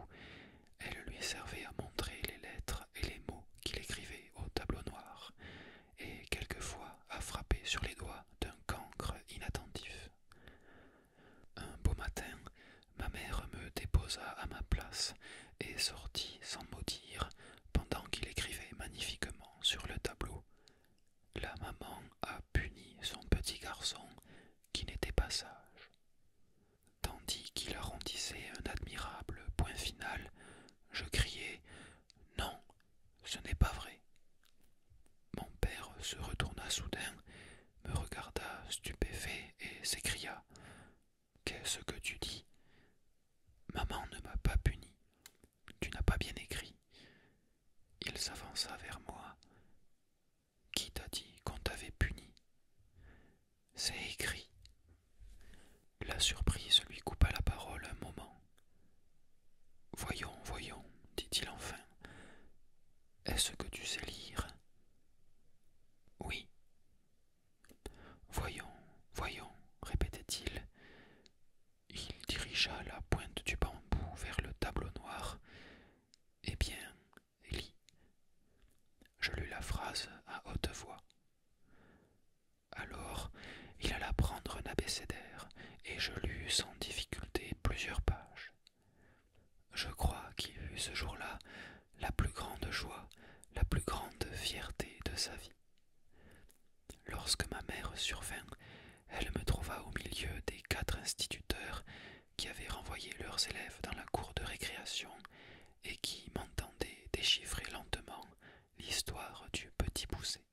S1: Elle lui servait à montrer les lettres et les mots qu'il écrivait au tableau noir, et quelquefois à frapper sur les doigts d'un cancre inattentif. Un beau matin, ma mère me déposa à ma place et sortit sans mot dire pendant qu'il écrivait magnifiquement sur le tableau. La maman a puni son petit garçon qui n'était pas sage. Tandis qu'il arrondissait un admirable point final, je criai Non, ce n'est pas vrai. Mon père se retourna soudain, me regarda stupéfait et s'écria Qu'est-ce que tu dis Maman ne m'a pas puni. Tu n'as pas bien écrit. Il s'avança vers moi. Qui t'a dit qu'on t'avait puni C'est écrit. La surprise lui coupa la parole un moment. Voyons, voyons, dit-il enfin. Est-ce que tu sais lire Oui. Voyons, voyons, répétait-il. Il dirigea la pointe du bambou vers le tableau noir. Eh bien, lis. Je lus la phrase à haute voix. Alors, il alla prendre un abécédaire et je lus sans difficulté plusieurs pages. Je crois qu'il eut ce jour-là la plus grande joie, la plus grande fierté de sa vie. Lorsque ma mère survint, elle me trouva au milieu des quatre instituteurs qui avaient renvoyé leurs élèves dans la cour de récréation et qui m'entendaient déchiffrer lentement l'histoire du petit poussé.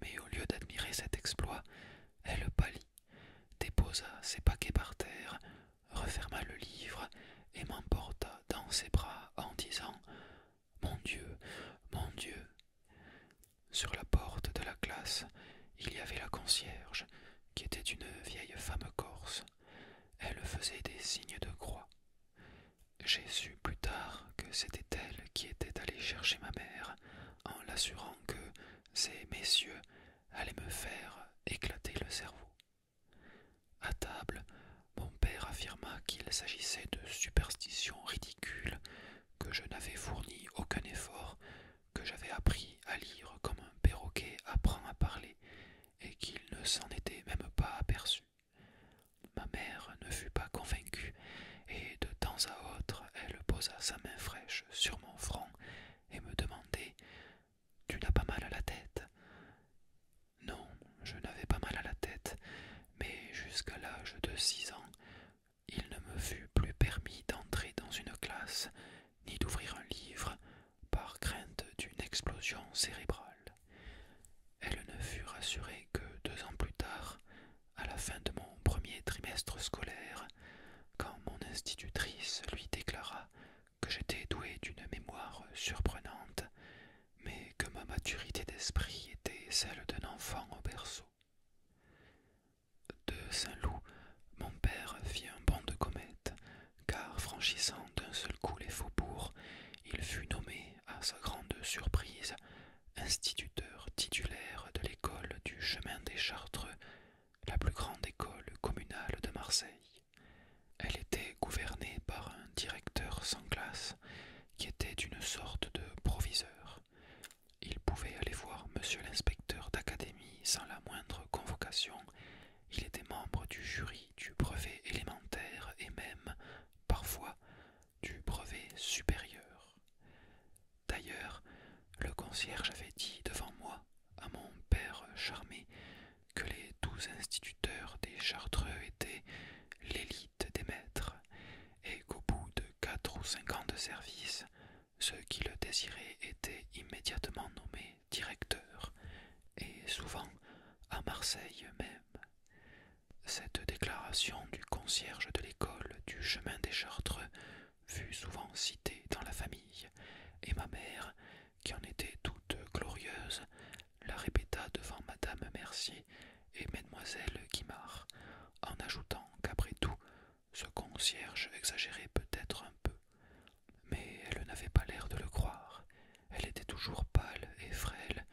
S1: Mais au lieu d'admirer cet exploit, elle pâlit, déposa ses paquets par terre, referma le livre et m'emporta dans ses bras en disant Mon Dieu, mon Dieu. Sur la porte de la classe, il y avait la concierge, qui était une vieille femme corse. Elle faisait des signes de croix. J'ai su plus tard que c'était elle qui était allée chercher ma mère, en l'assurant que ces messieurs allaient me faire éclater le cerveau. À table, mon père affirma qu'il s'agissait de superstitions ridicules, que je n'avais fourni aucun effort, que j'avais appris à lire comme un perroquet apprend à parler, et qu'il ne s'en était même pas aperçu. Ma mère ne fut pas convaincue, et de temps à autre elle posa sa main fraîche sur mon front et me demandait. Tu n'as pas mal à la tête. Non, je n'avais pas mal à la tête, mais jusqu'à l'âge de six ans, il ne me fut plus permis d'entrer dans une classe ni d'ouvrir un livre par crainte d'une explosion cérébrale. Elle ne fut rassurée que deux ans plus tard, à la fin de mon premier trimestre scolaire, quand mon institutrice lui déclara que j'étais doué d'une mémoire surprenante, mais que ma maturité d'esprit était celle d'un enfant au berceau. De Saint-Loup, mon père fit un bond de comète, car franchissant d'un seul coup les faubourgs, il fut nommé, à sa grande surprise, instituteur titulaire de l'école du chemin des Chartreux, la plus grande école communale de Marseille. Elle était gouvernée par un directeur sans classe qui était d'une sorte de proviseur. Il pouvait aller voir monsieur l'inspecteur d'académie sans la moindre convocation. Il était membre du jury du brevet élémentaire et même, parfois, du brevet supérieur. D'ailleurs, le concierge avait dit devant moi à mon père charmé que les douze instituteurs des Chartreux étaient l'élite des maîtres, et qu'au bout de quatre ou cinq ans de service, ceux qui le désiraient étaient immédiatement nommés directeurs, et souvent à Marseille même. Cette déclaration du concierge de l'école du chemin des Chartreux fut souvent citée dans la famille, et ma mère, qui en était toute glorieuse, la répéta devant madame Mercier et mademoiselle Guimard, en ajoutant qu'après tout, ce concierge exagérait peut-être un peu. Mais elle n'avait pas l'air de le croire. Elle était toujours pâle et frêle,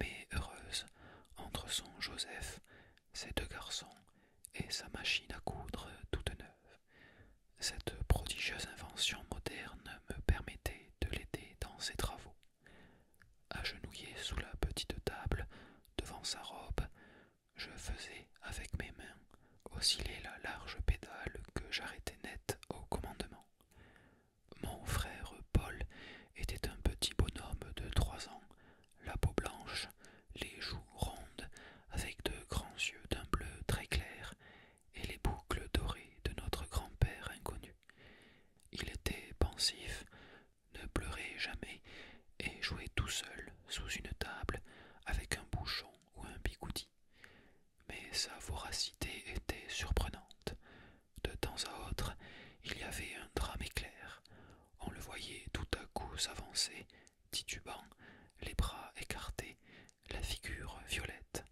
S1: mais heureuse, entre son Joseph, ses deux garçons et sa machine à coudre toute neuve. Cette prodigieuse invention moderne me permettait de l'aider dans ses travaux. Agenouillé sous la petite table, devant sa robe, je faisais avec mes mains osciller la large pédale que j'arrêtais net au commandement. Mon frère Paul était un petit bonhomme de trois ans, la peau blanche, les joues rondes, avec de grands yeux d'un bleu très clair et les boucles dorées de notre grand-père inconnu. Il était pensif, ne pleurait jamais et jouait tout seul sous une table avec un bouchon ou un bigoudi. Mais sa voracité était surprenante. De temps à autre, il y avait un drame éclair. On le voyait tout à coup s'avancer, titubant, les bras écartés, la figure violette.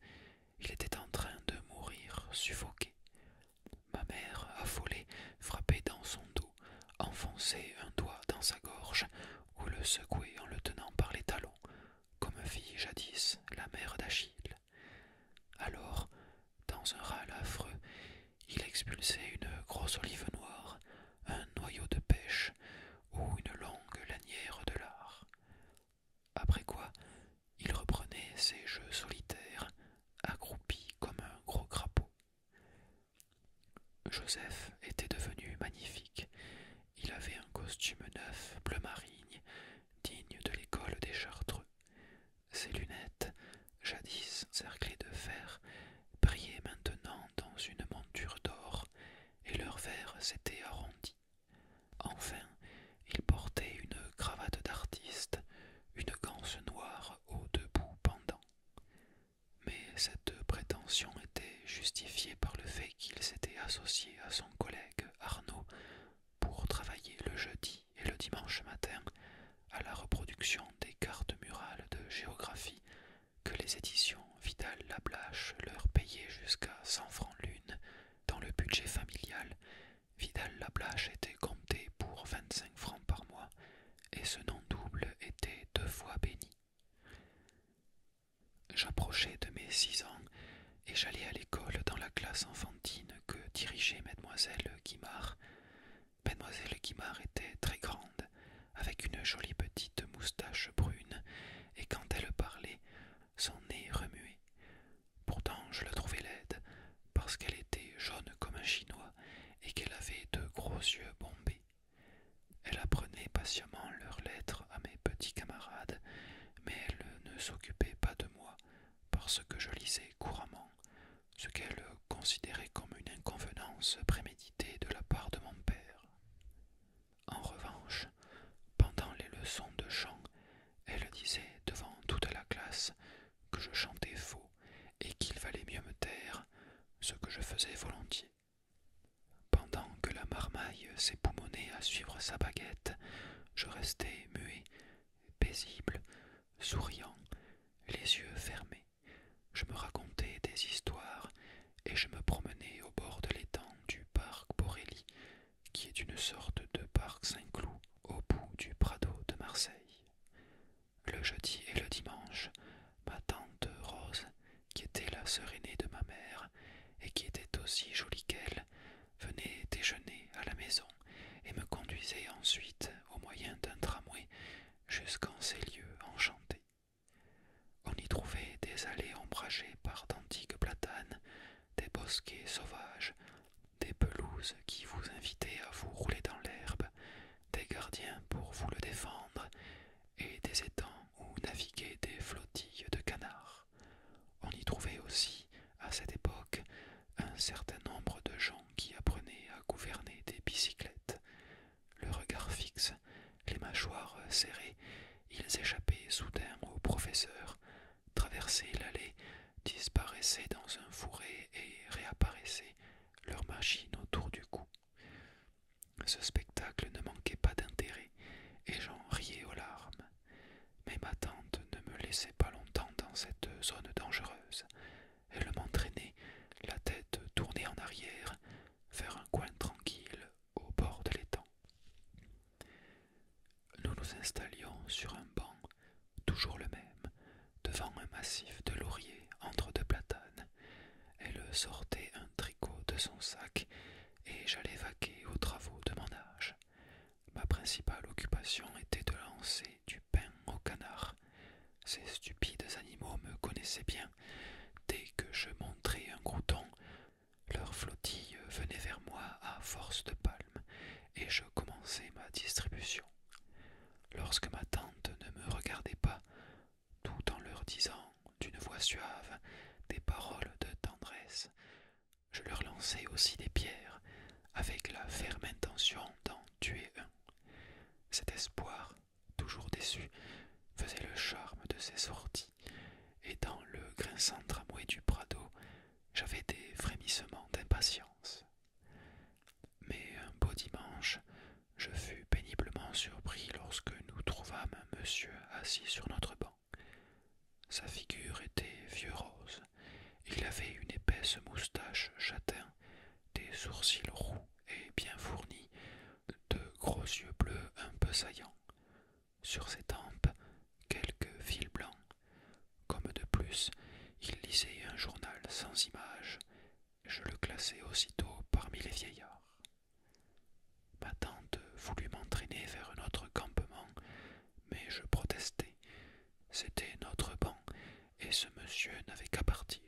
S1: Il était en train de mourir suffoqué. Ma mère, affolée, frappait dans son dos, enfonçait un doigt dans sa gorge, ou le secouait en le tenant par les talons, comme fit jadis la mère d'Achille. Alors, dans un râle affreux, il expulsait une grosse olive noire, un noyau de pêche, ou une longue lanière de lard. Après quoi, il reprenait ses jeux solitaires, accroupi comme un gros crapaud. Joseph était devenu magnifique. Il avait un costume neuf, bleu marine, digne de l'école des Chartreux. Ses lunettes, jadis cerclées de fer, brillaient maintenant dans une monture d'or, et leurs verres s'étaient arrondis. Enfin, il portait une cravate d'artiste, une ganse noire aux deux bouts pendants. Mais cette prétention était justifiée par le fait qu'il s'était associé à son collègue Arnaud pour travailler le jeudi et le dimanche matin à la reproduction des cartes murales de géographie que les éditions Vidal Lablache leur payaient jusqu'à cent francs l'une dans le budget familial, Vidal-Lablache était compté pour 25 francs par mois, et ce nom double était deux fois béni. J'approchai de mes six ans et j'allais à l'école dans la classe enfantine que dirigeait mademoiselle Guimard. Mademoiselle Guimard était très grande, avec une jolie petite moustache brune, et quand elle parlait, son nez remuait. Pourtant, je la trouvais laide, parce qu'elle était jaune comme un chinois et qu'elle avait de gros yeux bombés. Elle apprenait patiemment leurs lettres à mes petits camarades, mais elle ne s'occupait pas de moi, parce que je lisais couramment, ce qu'elle considérait comme une inconvenance préméditée de la part de mon père. En revanche, pendant les leçons de chant, elle disait devant toute la classe que je chantais faux et qu'il valait mieux me taire, ce que je faisais volontiers. Pendant que la marmaille s'époumonnait à suivre sa baguette, je restais muet, paisible, souriant, les yeux fermés. Je me racontais des histoires et je me promenais au bord de l'étang du parc Borelli, qui est une sorte de parc Saint-Cloud au bout du Prado de Marseille. Le jeudi et le dimanche, ma tante Rose, qui était la sœur aînée de ma mère et qui était aussi jolie qu'elle, venait déjeuner à la maison et me conduisait ensuite, au moyen d'un tramway, jusqu'en ces lieux enchantés. On y trouvait des allées ombragées par d'antiques platanes, des bosquets sauvages, des pelouses qui vous invitaient à vous rouler dans l'herbe, des gardiens pour vous le défendre, et des étangs où naviguaient des flottilles de canards. On y trouvait aussi, à cette époque, un certain nombre de gens qui apprenaient à gouverner des bicyclettes. Le regard fixe, les mâchoires serrées, ils échappaient soudain au professeur, traversaient l'allée, disparaissaient dans un fourré et réapparaissaient, leur machine autour du cou. Ce spectacle ne manquait pas d'intérêt, et j'en riais aux larmes. Mais ma tante ne me laissait pas longtemps dans cette zone dangereuse. Elle m'entraînait, la tête tournée en arrière, vers un coin tranquille au bord de l'étang. Nous nous installions sur un banc, toujours le même, devant un massif de lauriers entre deux platanes. Elle sortait un tricot de son sac et j'allais vaquer aux travaux de mon âge. Ma principale occupation était de lancer du pain aux canards. Ces stupides animaux me connaissaient bien. Dès que je montrais un crouton, leur flottille venait vers moi à force de palmes, et je commençais ma distribution. Lorsque ma tante ne me regardait pas, tout en leur disant, d'une voix suave, des paroles de tendresse, je leur lançai aussi des pierres, avec la ferme intention d'en tuer un. Cet espoir, toujours déçu, faisait le charme de ces sorties et dans le grinçant tramway du Prado, j'avais des frémissements d'impatience. Mais un beau dimanche, je fus péniblement surpris lorsque nous trouvâmes un monsieur assis sur notre banc. Sa figure était vieux rose, il avait une épaisse moustache châtain, des sourcils roux et bien fournis, de gros yeux bleus un peu saillants, sur ses tempes quelques fils blancs. Comme de plus, il lisait un journal sans image. Je le classai aussitôt parmi les vieillards. Ma tante voulut m'entraîner vers un autre campement, mais je protestai. C'était notre banc, et ce monsieur n'avait qu'à partir.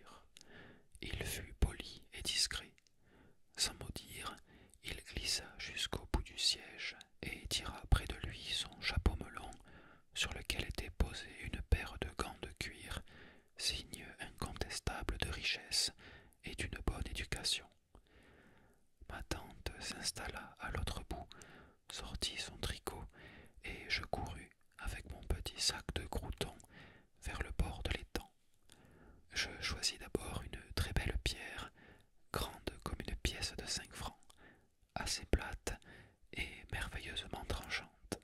S1: Il fut poli et discret. Sans mot dire, il glissa jusqu'au bout du siège et tira près de lui son chapeau melon, sur lequel était posée une paire de gants de cuir, signe incontestable de richesse et d'une bonne éducation. Ma tante s'installa à l'autre bout, sortit son tricot, et je courus, avec mon petit sac de croûtons, vers le bord de l'étang. Je choisis d'abord une très belle pierre, grande comme une pièce de cinq francs, assez plate et merveilleusement tranchante.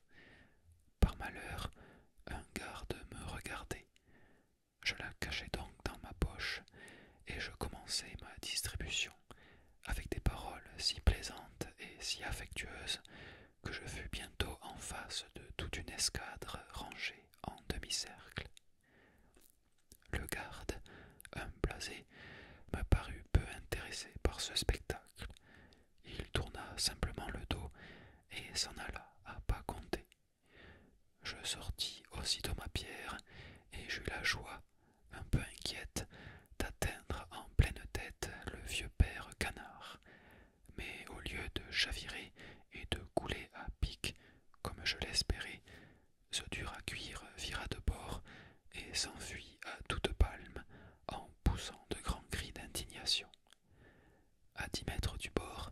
S1: Par malheur, un garde me regardait. Je la cachai donc dans ma poche, et je commençai ma distribution, avec des paroles si plaisantes et si affectueuses que je fus bientôt en face de toute une escadre rangée en demi-cercle. Le garde, un blasé, me parut peu intéressé par ce spectacle. Il tourna simplement le dos et s'en alla à pas compter. Je sortis aussitôt ma pierre et j'eus la joie, un peu inquiète, d'atteindre en pleine tête le vieux père canard. Mais au lieu de chavirer et de couler à pic, comme je l'espérais, ce dur à cuire vira de bord et s'enfuit à toute palme en poussant de grands cris d'indignation. À dix mètres du bord,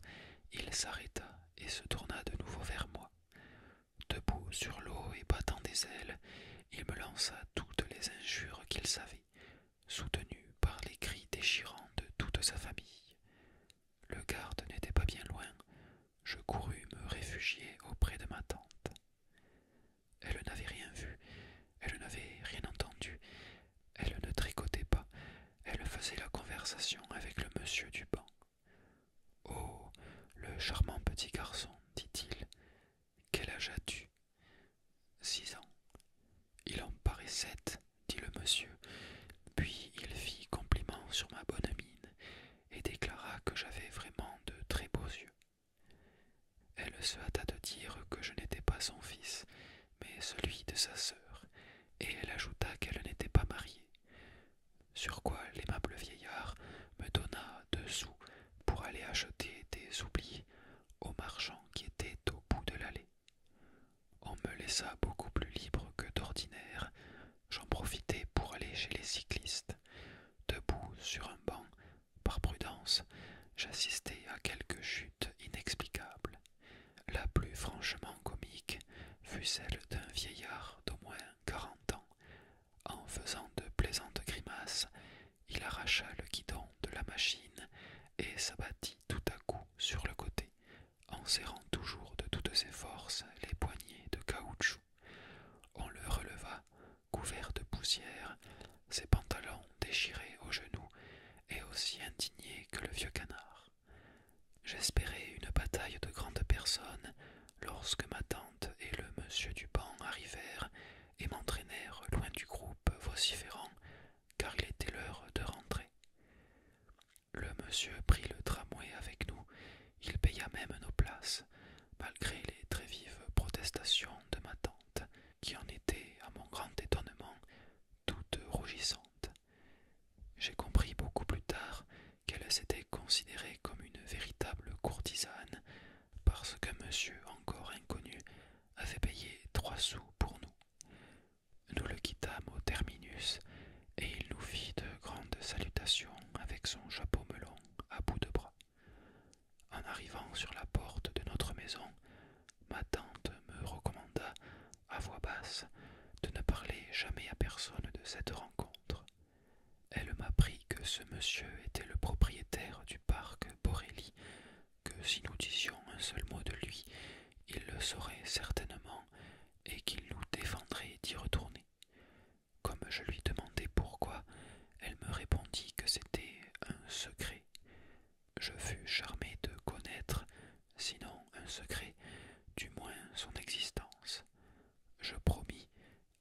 S1: il s'arrêta et se tourna de nouveau vers moi. Debout sur l'eau et battant des ailes, il me lança toutes les injures qu'il savait, soutenu par les cris déchirants de toute sa famille. Le garde n'était pas bien loin, je courus me réfugier auprès de ma tante. Elle n'avait rien vu, elle n'avait rien entendu, elle ne tricotait pas, elle faisait la conversation avec le monsieur du banc. Oh, le charmant petit garçon, dit-il, quel âge as-tu Six ans. Il en paraît sept, dit le monsieur, puis il fit compliment sur ma bonne mine et déclara que j'avais vraiment de très beaux yeux. Elle se hâta de dire que je n'étais pas son fils, mais celui de sa sœur, et elle ajouta qu'elle n'était pas mariée, sur quoi l'aimable vieillard me donna deux sous pour aller acheter des oublis au marchand qui était au bout de l'allée. On me laissa beaucoup plus libre que d'ordinaire j'en profitai pour aller chez les cyclistes. Debout sur un banc, par prudence, j'assistais à quelques chutes inexplicables. La plus franchement comique fut celle d'un vieillard d'au moins quarante ans. En faisant de plaisantes grimaces, il arracha le guidon de la machine et s'abattit tout à coup sur le côté, en serrant toujours de toutes ses forces les poignées de caoutchouc. On le releva, couvert de poussière, ses pantalons déchirés aux genoux et aussi indigné que le vieux canard. J'espérais une bataille de grandes personnes lorsque ma tante et le monsieur banc arrivèrent et m'entraînèrent loin du groupe vociférant, car il était l'heure de rentrer. Le monsieur prit le tramway avec nous il paya même nos places, malgré les très vives protestations de ma tante, qui en était, à mon grand étonnement, toute rougissante. J'ai compris beaucoup plus tard qu'elle s'était considérée comme une véritable courtisane, parce qu'un monsieur encore inconnu avait payé trois sous pour nous. Nous le quittâmes au terminus et il nous fit de grandes salutations avec son chapeau melon à bout de bras. En arrivant sur la porte de notre maison, ma tante me recommanda, à voix basse, de ne parler jamais à personne de cette rencontre. Elle m'apprit que ce monsieur était le propriétaire du parc Borelli, que si nous disions un seul mot de lui, il le saurait certainement et qu'il nous défendrait d'y retourner. Comme je lui demandais pourquoi, elle me répondit que c'était un secret. Je fus charmé de connaître, sinon un secret, du moins son existence. Je promis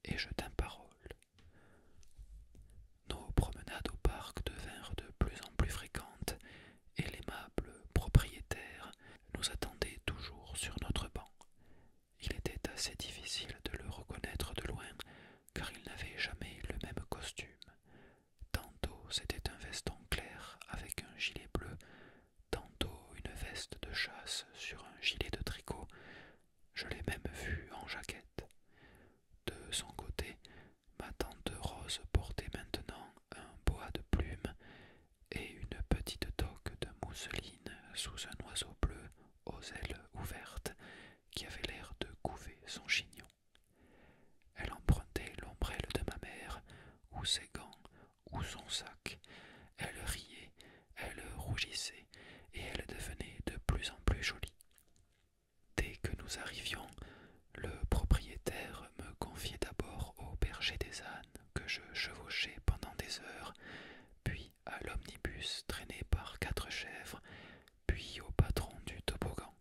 S1: et je tins parole. Nos promenades au parc devinrent de plus en plus fréquentes, et l'aimable propriétaire nous attendait toujours sur notre banc. Il était assez difficile de le reconnaître de loin, car il n'avait jamais le même costume. Tantôt c'était un veston clair avec un gilet bleu, tantôt une veste de chasse sur un gilet de tricot. Je l'ai même vu en jaquette. De son côté, ma tante Rose portait maintenant un bois de plumes et une petite toque de mousseline sous un oiseau bleu aux ailes ouvertes qui avait l'air de couver son chignon. Elle empruntait l'ombrelle de ma mère, ou ses gants, ou son sac. Elle riait, elle rougissait, et elle devenait de plus en plus jolie. Dès que nous arrivions, le propriétaire me confiait d'abord au berger des ânes que je chevauchais pendant des heures, puis à l'omnibus traîné par quatre chèvres, puis au patron du toboggan.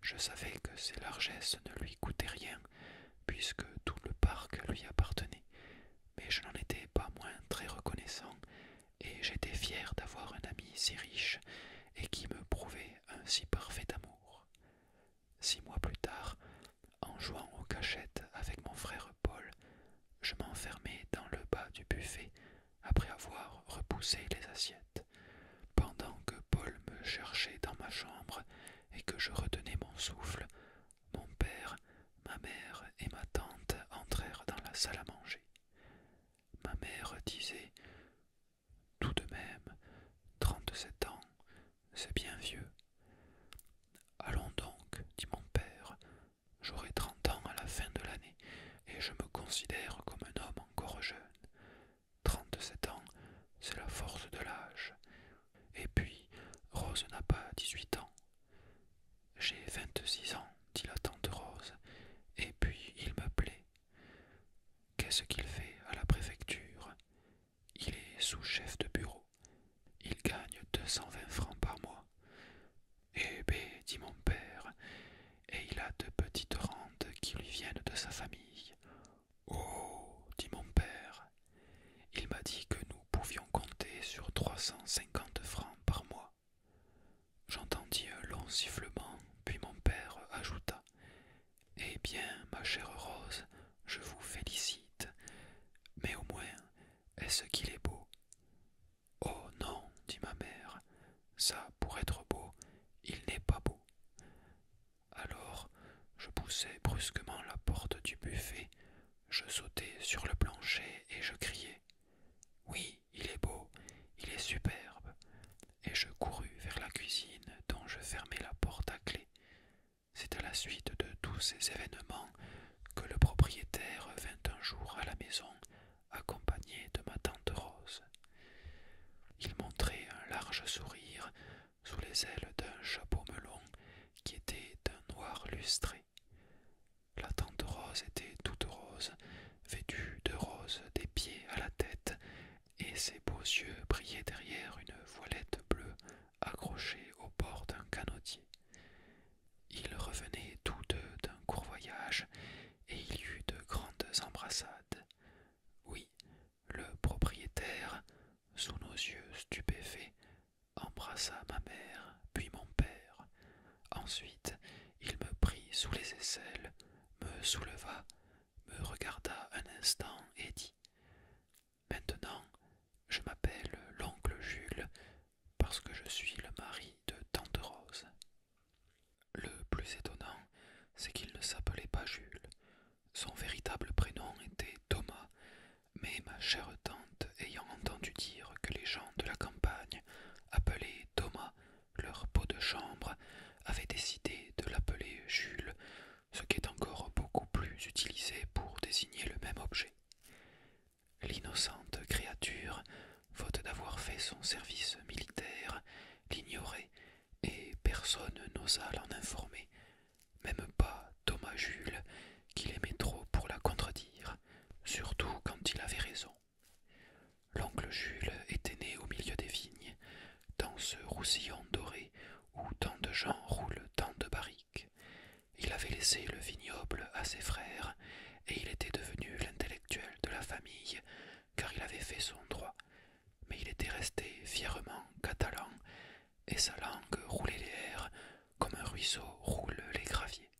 S1: Je savais que ses largesses ne lui coûtaient rien, puisque tout le parc lui appartenait, mais je n'en étais pas moins très reconnaissant, et j'étais fier d'avoir un ami si riche et qui me prouvait un si parfait amour. Six mois plus tard, en jouant aux cachettes avec mon frère Paul, je m'enfermais dans le bas du buffet après avoir repoussé les assiettes, pendant que Paul me cherchait dans ma chambre et que je retenais mon souffle. Mon père, ma mère et ma tante entrèrent dans la salle à manger. Ma mère disait Tout de même, trente-sept ans, c'est bien vieux. Allons donc, dit mon père, j'aurai trente ans à la fin de l'année, et je me considère comme un homme encore jeune. Trente-sept ans, c'est la force de l'âge. Et puis, Rose n'a pas dix-huit ans. J'ai vingt-six ans, dit la tante Rose, et puis il me plaît. Qu'est-ce qu'il fait à la préfecture Il est sous-chef de bureau. Il gagne deux cent vingt francs par mois. Eh bé, dit mon père, et il a de petites rentes qui lui viennent de sa famille. Oh, dit mon père, il m'a dit que nous pouvions compter sur trois cent cinquante francs par mois. J'entendis un long sifflement, puis mon père ajouta Eh bien, ma chère Rose, je vous félicite, mais au moins est-ce qu'il est beau Oh non, dit ma mère, ça, pour être beau, il n'est pas beau. Alors, je poussai brusquement la porte du buffet, je sautai sur le plancher et je criai. Oui, il est beau, il est superbe. Et je courus vers la cuisine dont je fermai la porte à clé. C'est à la suite de tous ces événements que le propriétaire vint un jour à la maison accompagné de ma tante Rose. Il montrait un large sourire sous les ailes d'un chapeau melon qui était d'un noir lustré. La tante Rose était toute rose, vêtue de rose des pieds à la tête, et ses beaux yeux brillaient derrière une voilette bleue accrochés au bord d'un canotier. Ils revenaient tous deux d'un court voyage, et il y eut de grandes embrassades. Oui, le propriétaire, sous nos yeux stupéfaits, embrassa ma mère, puis mon père. Ensuite, il me prit sous les aisselles, me souleva, me regarda un instant et dit Maintenant, je m'appelle l'oncle Jules, parce que je suis le mari de Tante Rose. Le plus étonnant, c'est qu'il ne s'appelait pas Jules. Son véritable prénom était Thomas, mais ma chère tante, ayant entendu dire que les gens de la campagne appelaient Thomas leur pot de chambre, avait décidé de l'appeler Jules, ce qui est encore beaucoup plus utilisé pour désigner le même objet. L'innocente créature, faute d'avoir fait son service militaire, l'ignorait, et personne n'osa l'en informer, même pas Thomas Jules, qu'il aimait trop pour la contredire, surtout quand il avait raison. L'oncle Jules était né au milieu des vignes, dans ce roussillon doré où tant de gens roulent tant de barriques. Il avait laissé le vignoble à ses frères, et il était devenu l'intellectuel de la famille, car il avait fait son droit. Mais il était resté fièrement catalan, et sa langue roulait les airs comme un ruisseau roule les graviers.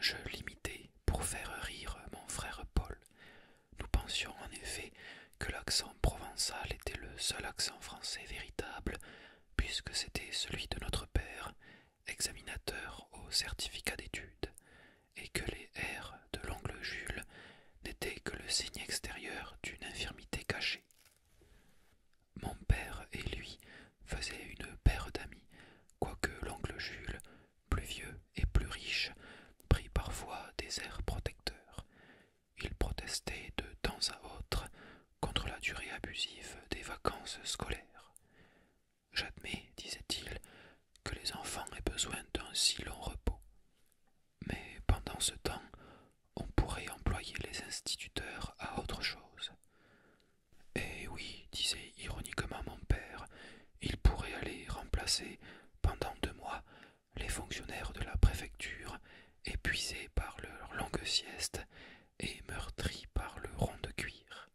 S1: Je l'imitais pour faire rire mon frère Paul. Nous pensions en effet que l'accent provençal était le seul accent français véritable, puisque c'était celui de notre père, examinateur au certificat d'études, et que les airs de l'angle Jules n'étaient que le signe extérieur d'une infirmité cachée. Mon père et lui faisaient une paire d'amis, quoique l'oncle Jules, plus vieux et plus riche, prit parfois des airs protecteurs. Il protestait de temps à autre contre la durée abusive des vacances scolaires. J'admets, disait-il, que les enfants aient besoin d'un si long repos. Mais pendant ce temps, on pourrait employer les instituteurs à autre chose. Eh oui, disait ironiquement mon père, ils pourraient aller remplacer pendant deux mois les fonctionnaires de la préfecture, épuisés par leur longue sieste et meurtri par le rond de cuir.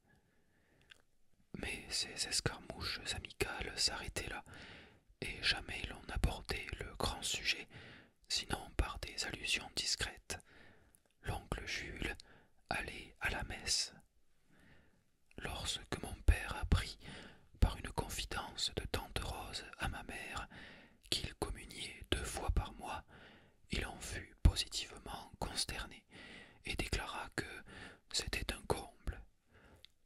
S1: Mais ces escarmouches amicales s'arrêtaient là, et jamais l'on abordait le grand sujet, sinon par des allusions discrètes. L'oncle Jules allait à la messe. Lorsque mon père apprit, par une confidence de tante Rose à ma mère, qu'il communiait deux fois par mois, il en fut positivement consterné et déclara que c'était un comble.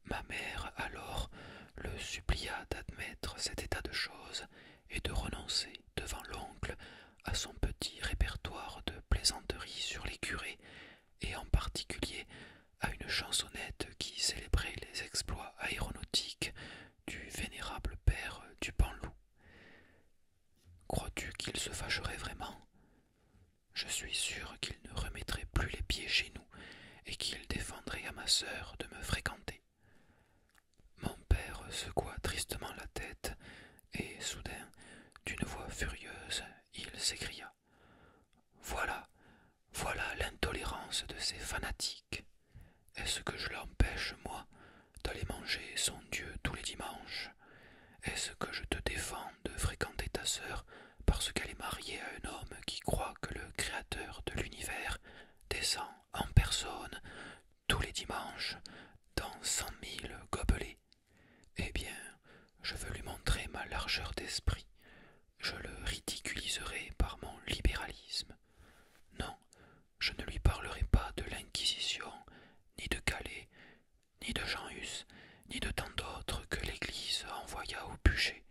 S1: Ma mère alors le supplia d'admettre cet état de choses et de renoncer devant l'oncle à son petit répertoire de plaisanteries sur les curés, et en particulier à une chansonnette qui célébrait les exploits aéronautiques du vénérable père du loup Crois-tu qu'il se fâcherait vraiment Je suis sûr qu'il ne remettrait plus les pieds chez nous et qu'il défendrait à ma sœur de me fréquenter. Mon père secoua tristement la tête et soudain, d'une voix furieuse, il s'écria Voilà, voilà l'intolérance de ces fanatiques. Est-ce que je l'empêche, moi, d'aller manger son Dieu tous les dimanches. Est-ce que je te défends de fréquenter ta sœur parce qu'elle est mariée à un homme qui croit que le Créateur de l'univers descend en personne tous les dimanches dans cent mille gobelets Eh bien, je veux lui montrer ma largeur d'esprit. Je le ridiculiserai par mon libéralisme. Non, je ne lui parlerai pas de l'Inquisition, ni de Calais, ni de Jean Hus, ni de tant d'autres que l'Église envoya au bûcher.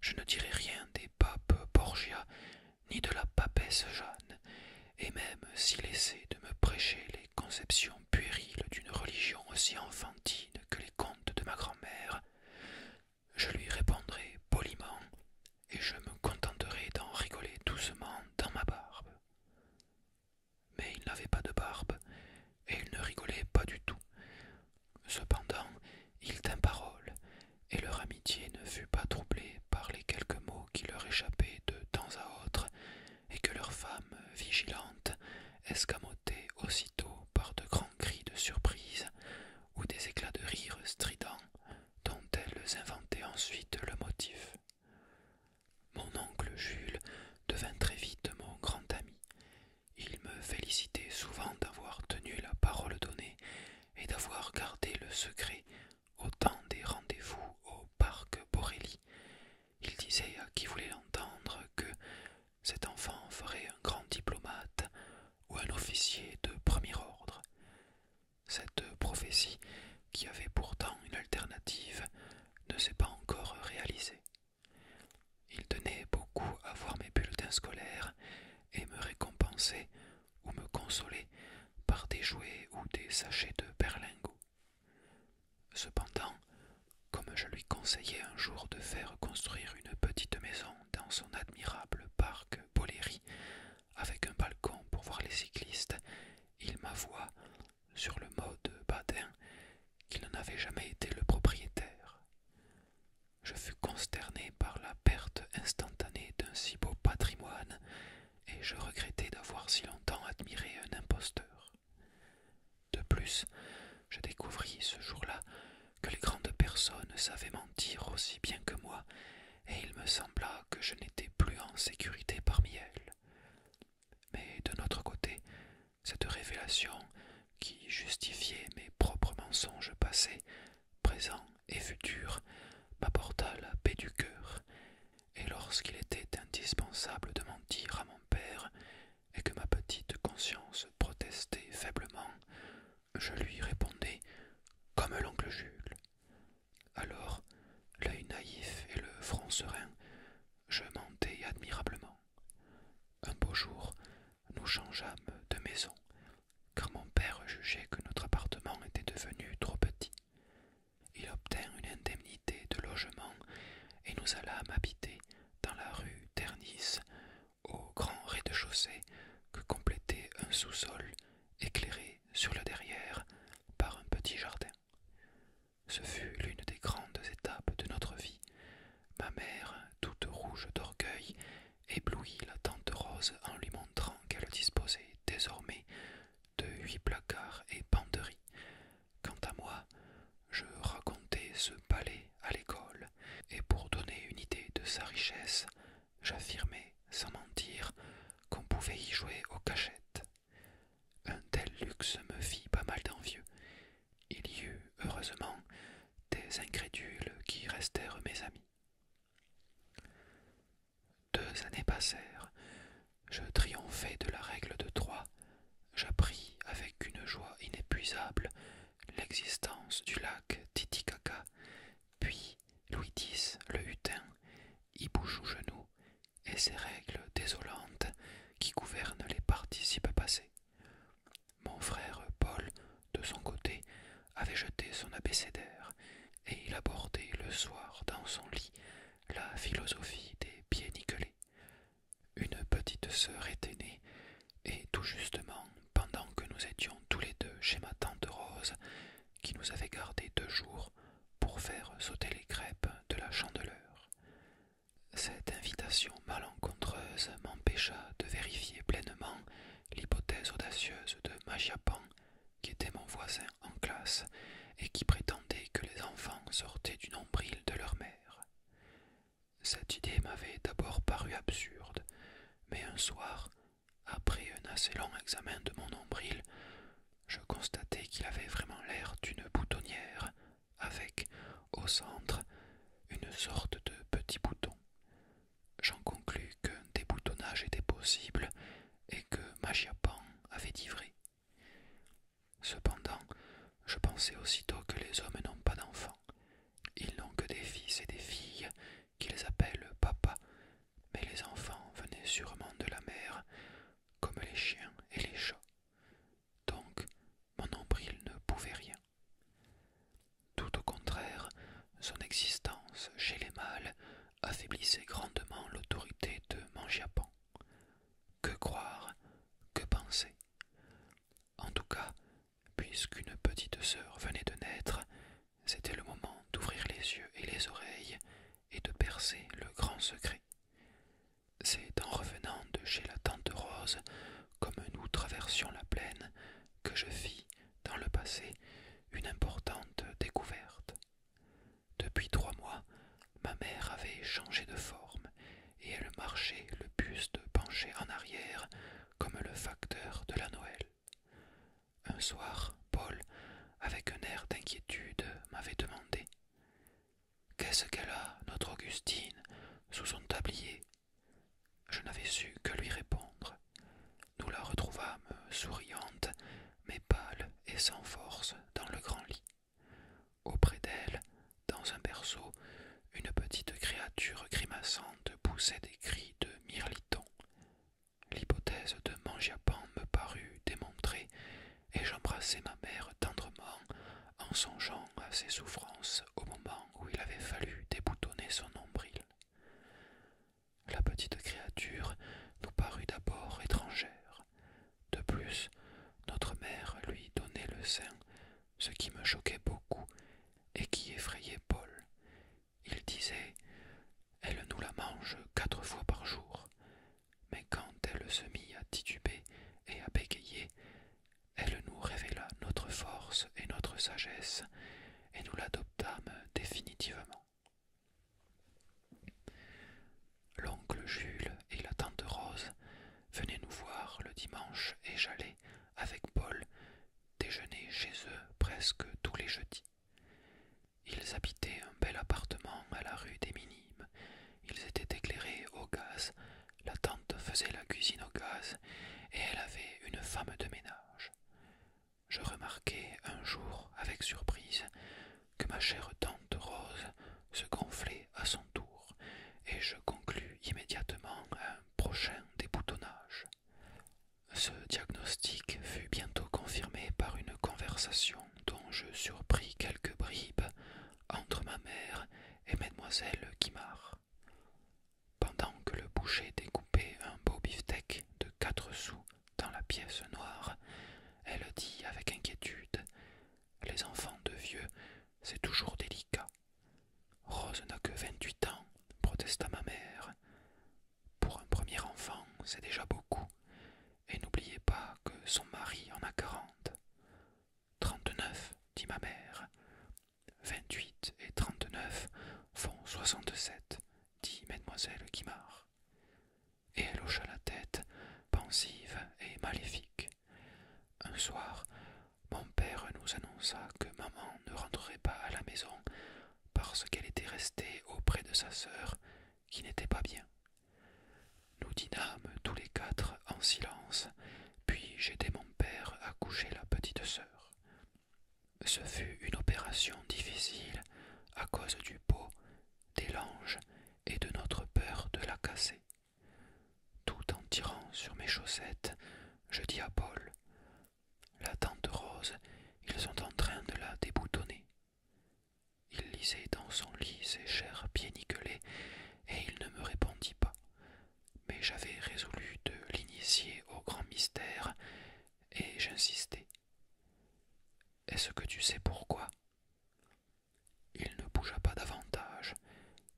S1: Je ne dirai rien des papes Borgia, ni de la papesse Jeanne, et même s'il essaie de me prêcher les conceptions puériles d'une religion aussi enfantine que les contes de ma grand-mère, je lui répondrai poliment et je me contenterai d'en rigoler doucement dans ma barbe. Mais il n'avait pas de barbe, et il ne rigolait pas du tout. Cependant, il tint parole, et leur amitié ne fut pas troublée par les quelques mots qui leur échappaient de temps à autre, et que leur femme, vigilante, escamotait aussitôt par de grands cris de surprise ou des éclats de rire stridents dont elles inventaient ensuite le motif. Mon oncle Jules devint très vite mon grand ami. Il me félicitait souvent d'avoir tenu la parole donnée et d'avoir gardé le secret au temps des rendez-vous au parc Borelli. Il disait à qui voulait l'entendre que cet enfant ferait un grand diplomate ou un officier de premier ordre. Cette prophétie, qui avait pourtant une alternative, ne s'est pas encore réalisée. Il tenait beaucoup à voir mes bulletins scolaires et me récompenser ou me consoler par des jouets ou des sachets de berlingot. Cependant, comme je lui conseillais un jour de faire construire une petite maison dans son admirable parc Boléry, avec un balcon pour voir les cyclistes il m'avoua, sur le mot de badin, qu'il n'en avait jamais été le propriétaire. Je fus consterné par la perte instantanée d'un si beau patrimoine, et je regrettai d'avoir si longtemps admiré un imposteur. De plus, je découvris ce jour-là que les grandes personnes savaient mentir aussi bien que moi, et il me sembla que je n'étais plus en sécurité parmi elles. Mais de notre côté, cette révélation qui justifiait mes propres mensonges passés, présents et futurs, m'apporta la paix du cœur, et lorsqu'il était indispensable de mentir à mon père, et que ma petite conscience protestait faiblement, je lui répondais comme l'oncle Jules. Alors, l'œil naïf et le front serein, je mentais admirablement. Un beau jour, nous changeâmes de maison, car mon père jugeait que notre appartement était devenu trop petit. Il obtint une indemnité de logement et nous allâmes habiter dans la rue Ternis, au grand rez-de-chaussée que complétait un sous-sol éclairé sur le derrière par un petit jardin. Ce fut l'une des grandes étapes de notre vie. Ma mère, toute rouge d'orgueil, éblouit la tante Rose en lui montrant qu'elle disposait désormais de huit placards et penderies. Quant à moi, je racontais ce palais à l'école, et pour donner une idée de sa richesse, j'affirmai, sans mentir qu'on pouvait y jouer aux cachettes. Un tel luxe me fit pas mal d'envieux. Il y eut, heureusement, des incrédules qui restèrent mes amis. Deux années passèrent. Je triomphai de la règle de trois. J'appris avec une joie inépuisable l'existence du lac Titicaca, puis Louis X le Hutin y bouge aux genoux, et ses règles désolantes qui gouvernent les participes passés. Mon frère Paul, de son côté, avait jeté son abécédaire, et il abordait le soir dans son lit la philosophie des pieds nickelés. Une petite sœur était née, et tout justement, pendant que nous étions tous les deux chez ma tante Rose, qui nous avait gardés deux jours, pour faire sauter les crêpes de la chandeleur. Cette invitation malencontreuse m'empêcha de vérifier pleinement l'hypothèse audacieuse de Magiapan, qui était mon voisin en classe et qui prétendait que les enfants sortaient du nombril de leur mère. Cette idée m'avait d'abord paru absurde, mais un soir, après un assez long examen de mon nombril, je constatai qu'il avait vraiment l'air d'une boutonnière, avec, au centre, une sorte de petit bouton. J'en conclus des boutonnages était possible et que Magiapan avait divré. Cependant, je pensais aussitôt que les hommes n'ont pas d'enfants. Ils n'ont que des fils et des filles, qu'ils appellent papa, mais les enfants venaient sûrement de la mer, comme les chiens et les chats. Donc mon nombril ne pouvait rien. Tout au contraire, son existence chez les mâles affaiblissait grandement l'autorité de Japon. Que croire, que penser En tout cas, puisqu'une petite sœur venait de naître, c'était le moment d'ouvrir les yeux et les oreilles et de percer le grand secret. C'est en revenant de chez la tante Rose, comme nous traversions la plaine, que je fis, dans le passé, une importante découverte. Depuis trois mois, ma mère avait changé de forme, et elle marchait le buste penché en arrière, comme le facteur de la Noël. Un soir, Paul, avec un air d'inquiétude, m'avait demandé. Qu'est-ce qu'elle a, notre Augustine, sous son tablier Je n'avais su que lui répondre. Nous la retrouvâmes souriante, mais pâle et sans force, dans le grand lit. Auprès d'elle, dans un berceau, une petite créature grimaçante poussait des cris de mirliton. L'hypothèse de Mangiapan me parut démontrée, et j'embrassai ma mère tendrement en songeant à ses souffrances au moment où il avait fallu déboutonner son nombril. La petite créature nous parut d'abord étrangère. De plus, notre mère lui donnait le sein, ce qui me choquait beaucoup et qui effrayait Paul. Il disait Elle nous la mange quatre fois par jour mais quand elle se mit à tituber et à bégayer, elle nous révéla notre force et notre sagesse, et nous l'adoptâmes définitivement. L'oncle Jules et la tante Rose venaient nous voir le dimanche et j'allais, avec Paul, déjeuner chez eux presque tous les jeudis. Ils habitaient un bel appartement à la rue des Minimes. Ils étaient éclairés au gaz. La tante faisait la cuisine au gaz et elle avait une femme de ménage. Je remarquai un jour avec surprise que ma chère tante Rose se gonflait à son tour et je conclus immédiatement un prochain déboutonnage. Ce diagnostic fut bientôt confirmé par une conversation dont je surpris quelques bribes entre ma mère et mademoiselle Guimard. Pendant que le boucher découpait un beau biftec de quatre sous dans la pièce noire, elle dit avec inquiétude Les enfants de vieux, c'est toujours délicat. Rose n'a que vingt-huit ans, protesta ma mère. Pour un premier enfant, c'est déjà beaucoup et n'oubliez pas que son mari en a quarante. Trente-neuf, dit ma mère. Vingt-huit et trente-neuf font soixante-sept, dit mademoiselle Guimard. Et elle hocha la tête, pensive et maléfique. Un soir, mon père nous annonça que maman ne rentrerait pas à la maison parce qu'elle était restée auprès de sa sœur qui n'était pas bien. Nous dînâmes tous les quatre en silence, puis j'aidai mon père à coucher la petite sœur. Ce fut une opération difficile à cause du pot, des langes et de notre peur de la casser. Tout en tirant sur mes chaussettes, je dis à Paul La tante Rose, ils sont en train de la déboutonner. Il lisait dans son lit ses chers pieds nickelés, et il ne me répondit pas. Mais j'avais résolu de l'initier au grand mystère, et j'insistai. Est-ce que tu sais pourquoi Il ne bougea pas davantage,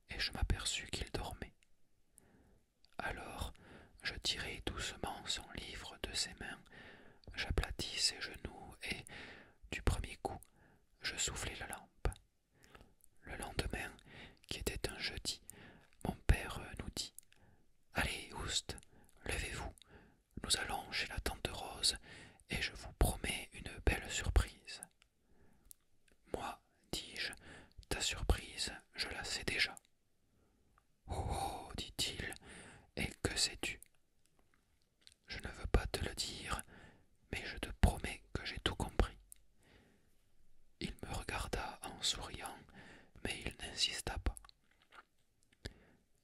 S1: et je m'aperçus qu'il dormait. Alors, je tirai doucement son livre de ses mains, j'aplatis ses genoux et, du premier coup, je soufflai la lampe. Le lendemain, qui était un jeudi, mon père nous dit Allez, Oust, levez-vous, nous allons chez la tante Rose et je vous promets une belle surprise. Moi, dis-je, ta surprise, je la sais déjà. Oh, oh dit-il, et que sais-tu je ne veux pas te le dire, mais je te promets que j'ai tout compris. Il me regarda en souriant, mais il n'insista pas.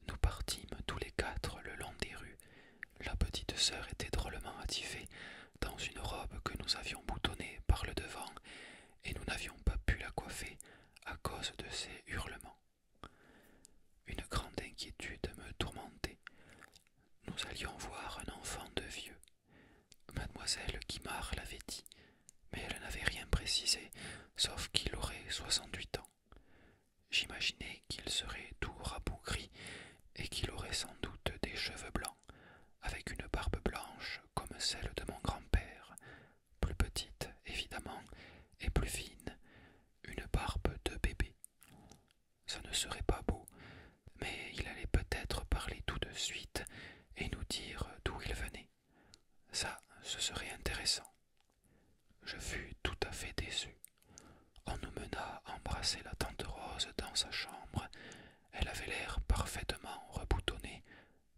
S1: Nous partîmes tous les quatre le long des rues. La petite sœur était drôlement attifée dans une robe que nous avions boutonnée par le devant, et nous n'avions pas pu la coiffer à cause de ses hurlements. Une grande inquiétude me tourmentait. Nous allions voir un enfant de vieux. Mademoiselle Guimard l'avait dit, mais elle n'avait rien précisé, sauf qu'il aurait soixante-huit ans. J'imaginais qu'il serait tout rabougri et qu'il aurait sans doute des cheveux blancs, avec une barbe blanche comme celle de mon grand-père, plus petite, évidemment, et plus fine, une barbe de bébé. Ça ne serait pas beau, mais il allait peut-être parler tout de suite et nous dire d'où il venait. Ça, ce serait intéressant. Je fus tout à fait déçu. On nous mena embrasser la tante Rose dans sa chambre. Elle avait l'air parfaitement reboutonnée,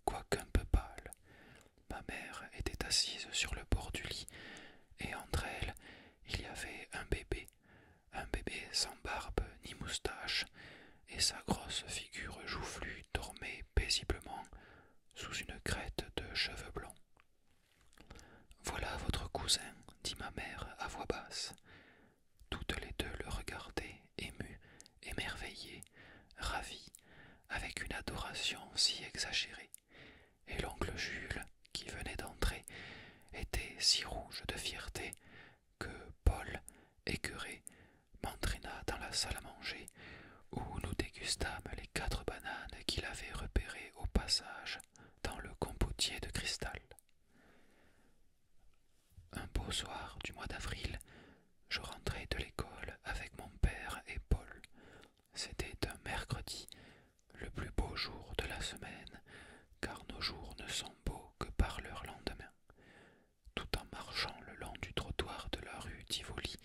S1: quoiqu'un peu pâle. Ma mère était assise sur le bord du lit, et entre elles il y avait un bébé, un bébé sans barbe ni moustache, et sa grosse figure joufflue dormait paisiblement sous une crête de cheveux blancs. Voilà votre cousin, dit ma mère à voix basse. Toutes les deux le regardaient, émues, émerveillées, ravies, avec une adoration si exagérée et l'oncle Jules, qui venait d'entrer, était si rouge de fierté que Paul, écœuré, m'entraîna dans la salle à manger, où nous dégustâmes les quatre bananes qu'il avait repérées au passage dans le compotier de cristal. Un beau soir du mois d'avril, je rentrai de l'école avec mon père et Paul, c'était un mercredi, le plus beau jour de la semaine, car nos jours ne sont beaux que par leur lendemain. Tout en marchant le long du trottoir de la rue Tivoli,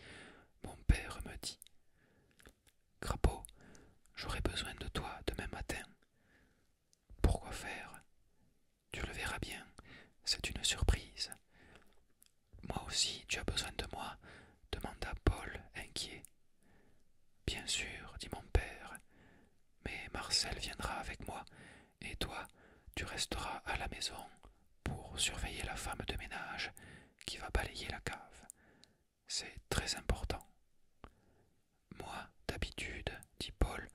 S1: mon père me dit Crapaud, j'aurai besoin de toi demain matin. Pourquoi faire Tu le verras bien, c'est une surprise. Moi aussi, tu as besoin de moi demanda Paul, inquiet. Bien sûr, dit mon père, mais Marcel viendra avec moi, et toi, tu resteras à la maison pour surveiller la femme de ménage qui va balayer la cave. C'est très important. Moi, d'habitude, dit Paul,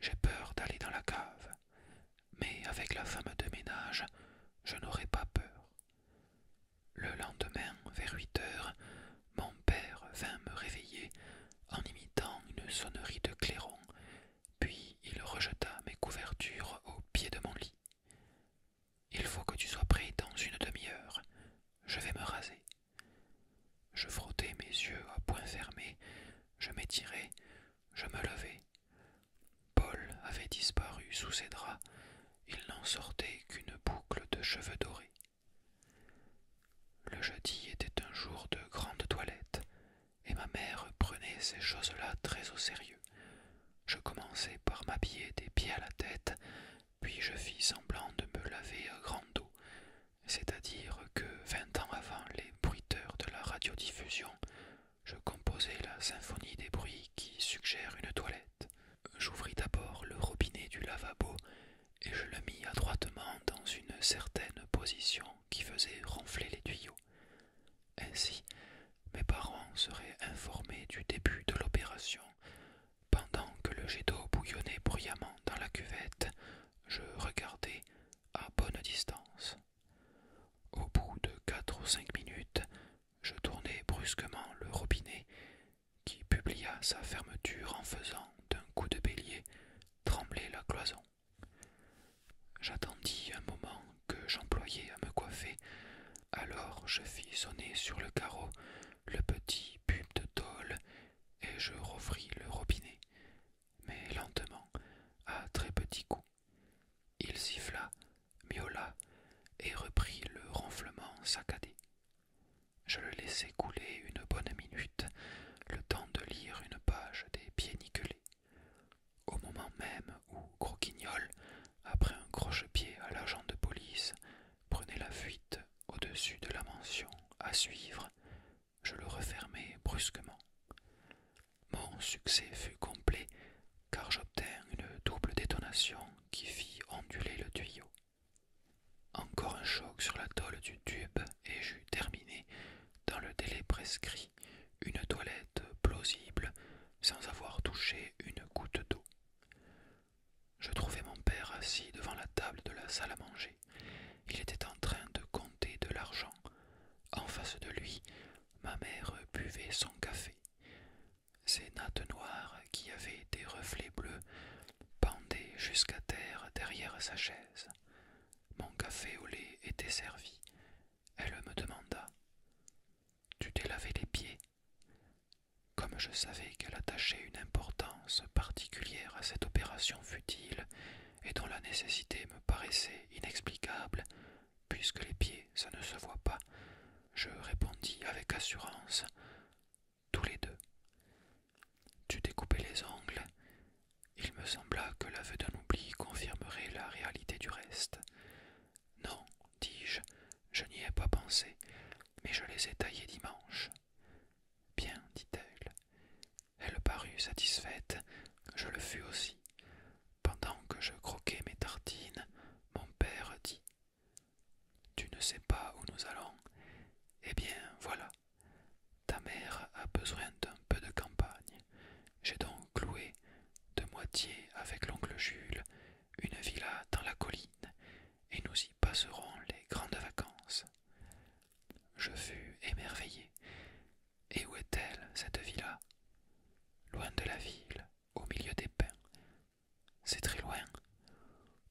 S1: j'ai peur d'aller dans la cave, mais avec la femme de ménage, je n'aurai pas peur. Le lendemain, vers huit heures, mon père vint me réveiller en imitant une sonnerie de clairon, puis il rejeta mes couvertures au pied de mon lit. Il faut que tu sois prêt dans une demi-heure. Je vais me raser. Je frottais mes yeux à point fermé, je m'étirai je me levai. Paul avait disparu sous ses draps, il n'en sortait qu'une boucle de cheveux dorés. Le jeudi était un jour de grande toilette, et ma mère prenait ces choses-là très au sérieux. Je commençais par m'habiller des pieds à la tête, puis je fis semblant de me laver à grande eau, c'est-à-dire que vingt ans avant les bruiteurs de la radiodiffusion, je composais la symphonie des bruits qui suggèrent une toilette. J'ouvris d'abord le robinet du lavabo et je le mis adroitement dans une certaine position qui faisait ronfler les tuyaux. Ainsi, mes parents seraient informés du début de l'opération. Pendant que le jet d'eau bouillonnait bruyamment dans la cuvette, je regardais à bonne distance. Au bout de quatre ou cinq minutes, je tournai brusquement le robinet qui publia sa fermeture en faisant d'un coup de bélier trembler la cloison. J'attendis un moment que j'employais à me coiffer, alors je fis sonner sur le carreau le petit pub de tôle et je refris le robinet, mais lentement, à très petits coups. Il siffla Miola et reprit le ronflement saccadé. Je le laissai couler une bonne minute, le temps de lire une page des pieds Au moment même où Croquignol, après un croche-pied à l'agent de police, prenait la fuite au-dessus de la mention à suivre, je le refermai brusquement. Mon succès fut complet, car j'obtins une double détonation qui fit onduler le tuyau. Encore un choc sur la tôle du tube et j'eus terminé, dans le délai prescrit, une toilette plausible sans avoir touché une goutte d'eau. Je trouvai mon père assis devant la table de la salle à manger. Il était en train de compter de l'argent. En face de lui, ma mère buvait son café. Ces nattes noires, qui avaient des reflets bleus, pendaient jusqu'à terre derrière sa chaise. Mon café au lait était servi. Elle me demanda Tu t'es lavé les pieds Comme je savais qu'elle attachait une importance particulière à cette opération futile et dont la nécessité me paraissait inexplicable, puisque les pieds ça ne se voit pas, je répondis avec assurance tous les deux. Tu découpais les ongles ?»« Il me sembla que l'aveu d'un oubli confirmerait la réalité du reste. Non, dis-je, je, n'y ai pas pensé, mais je les ai taillés dimanche. Bien, dit-elle. Elle parut satisfaite, je le fus aussi. Pendant que je croquais mes tartines, mon père dit tu ne sais pas où nous allons Eh bien, voilà. Ta mère a besoin d'un peu de campagne. J'ai donc loué de moitié avec l'oncle Jules une villa dans la colline, et nous y passerons les grandes vacances. Je fus émerveillé. Et où est-elle, cette villa Loin de la ville, au milieu des pins, c'est très loin.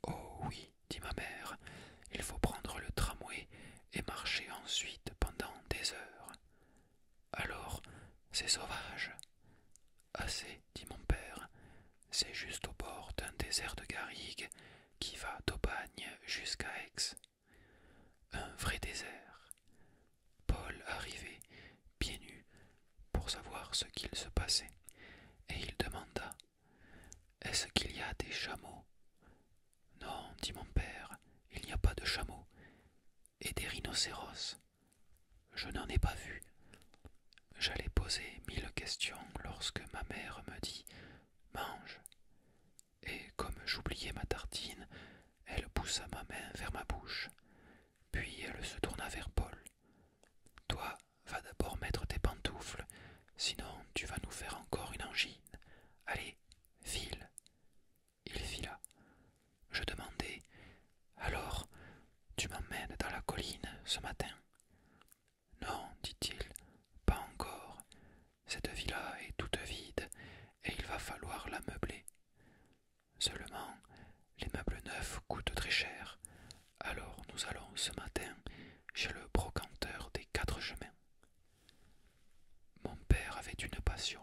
S1: Oh oui, dit ma mère, il faut prendre le tramway et marcher ensuite pendant des heures. Alors, c'est sauvage. Assez, dit mon père, c'est juste au bord d'un désert de garrigues qui va d'Aubagne jusqu'à Aix. Un vrai désert. Paul arrivait, pieds nus, pour savoir ce qu'il se passait, et il demanda Est-ce qu'il y a des chameaux Non, dit mon père, il n'y a pas de chameaux. Et des rhinocéros Je n'en ai pas vu. J'allais poser mille questions lorsque ma mère me dit Mange. Et comme j'oubliais ma tartine, elle poussa ma main vers ma bouche. Puis elle se tourna vers Paul. Toi, va d'abord mettre tes pantoufles, sinon tu vas nous faire encore une angine. Allez, file. Il fila. Je demandai. Alors, tu m'emmènes dans la colline ce matin? Non, dit-il, pas encore. Cette villa est toute vide, et il va falloir la meubler. Seulement, les meubles neufs coûtent très cher. Alors nous allons ce matin chez le brocanteur des quatre chemins. Mon père avait une passion,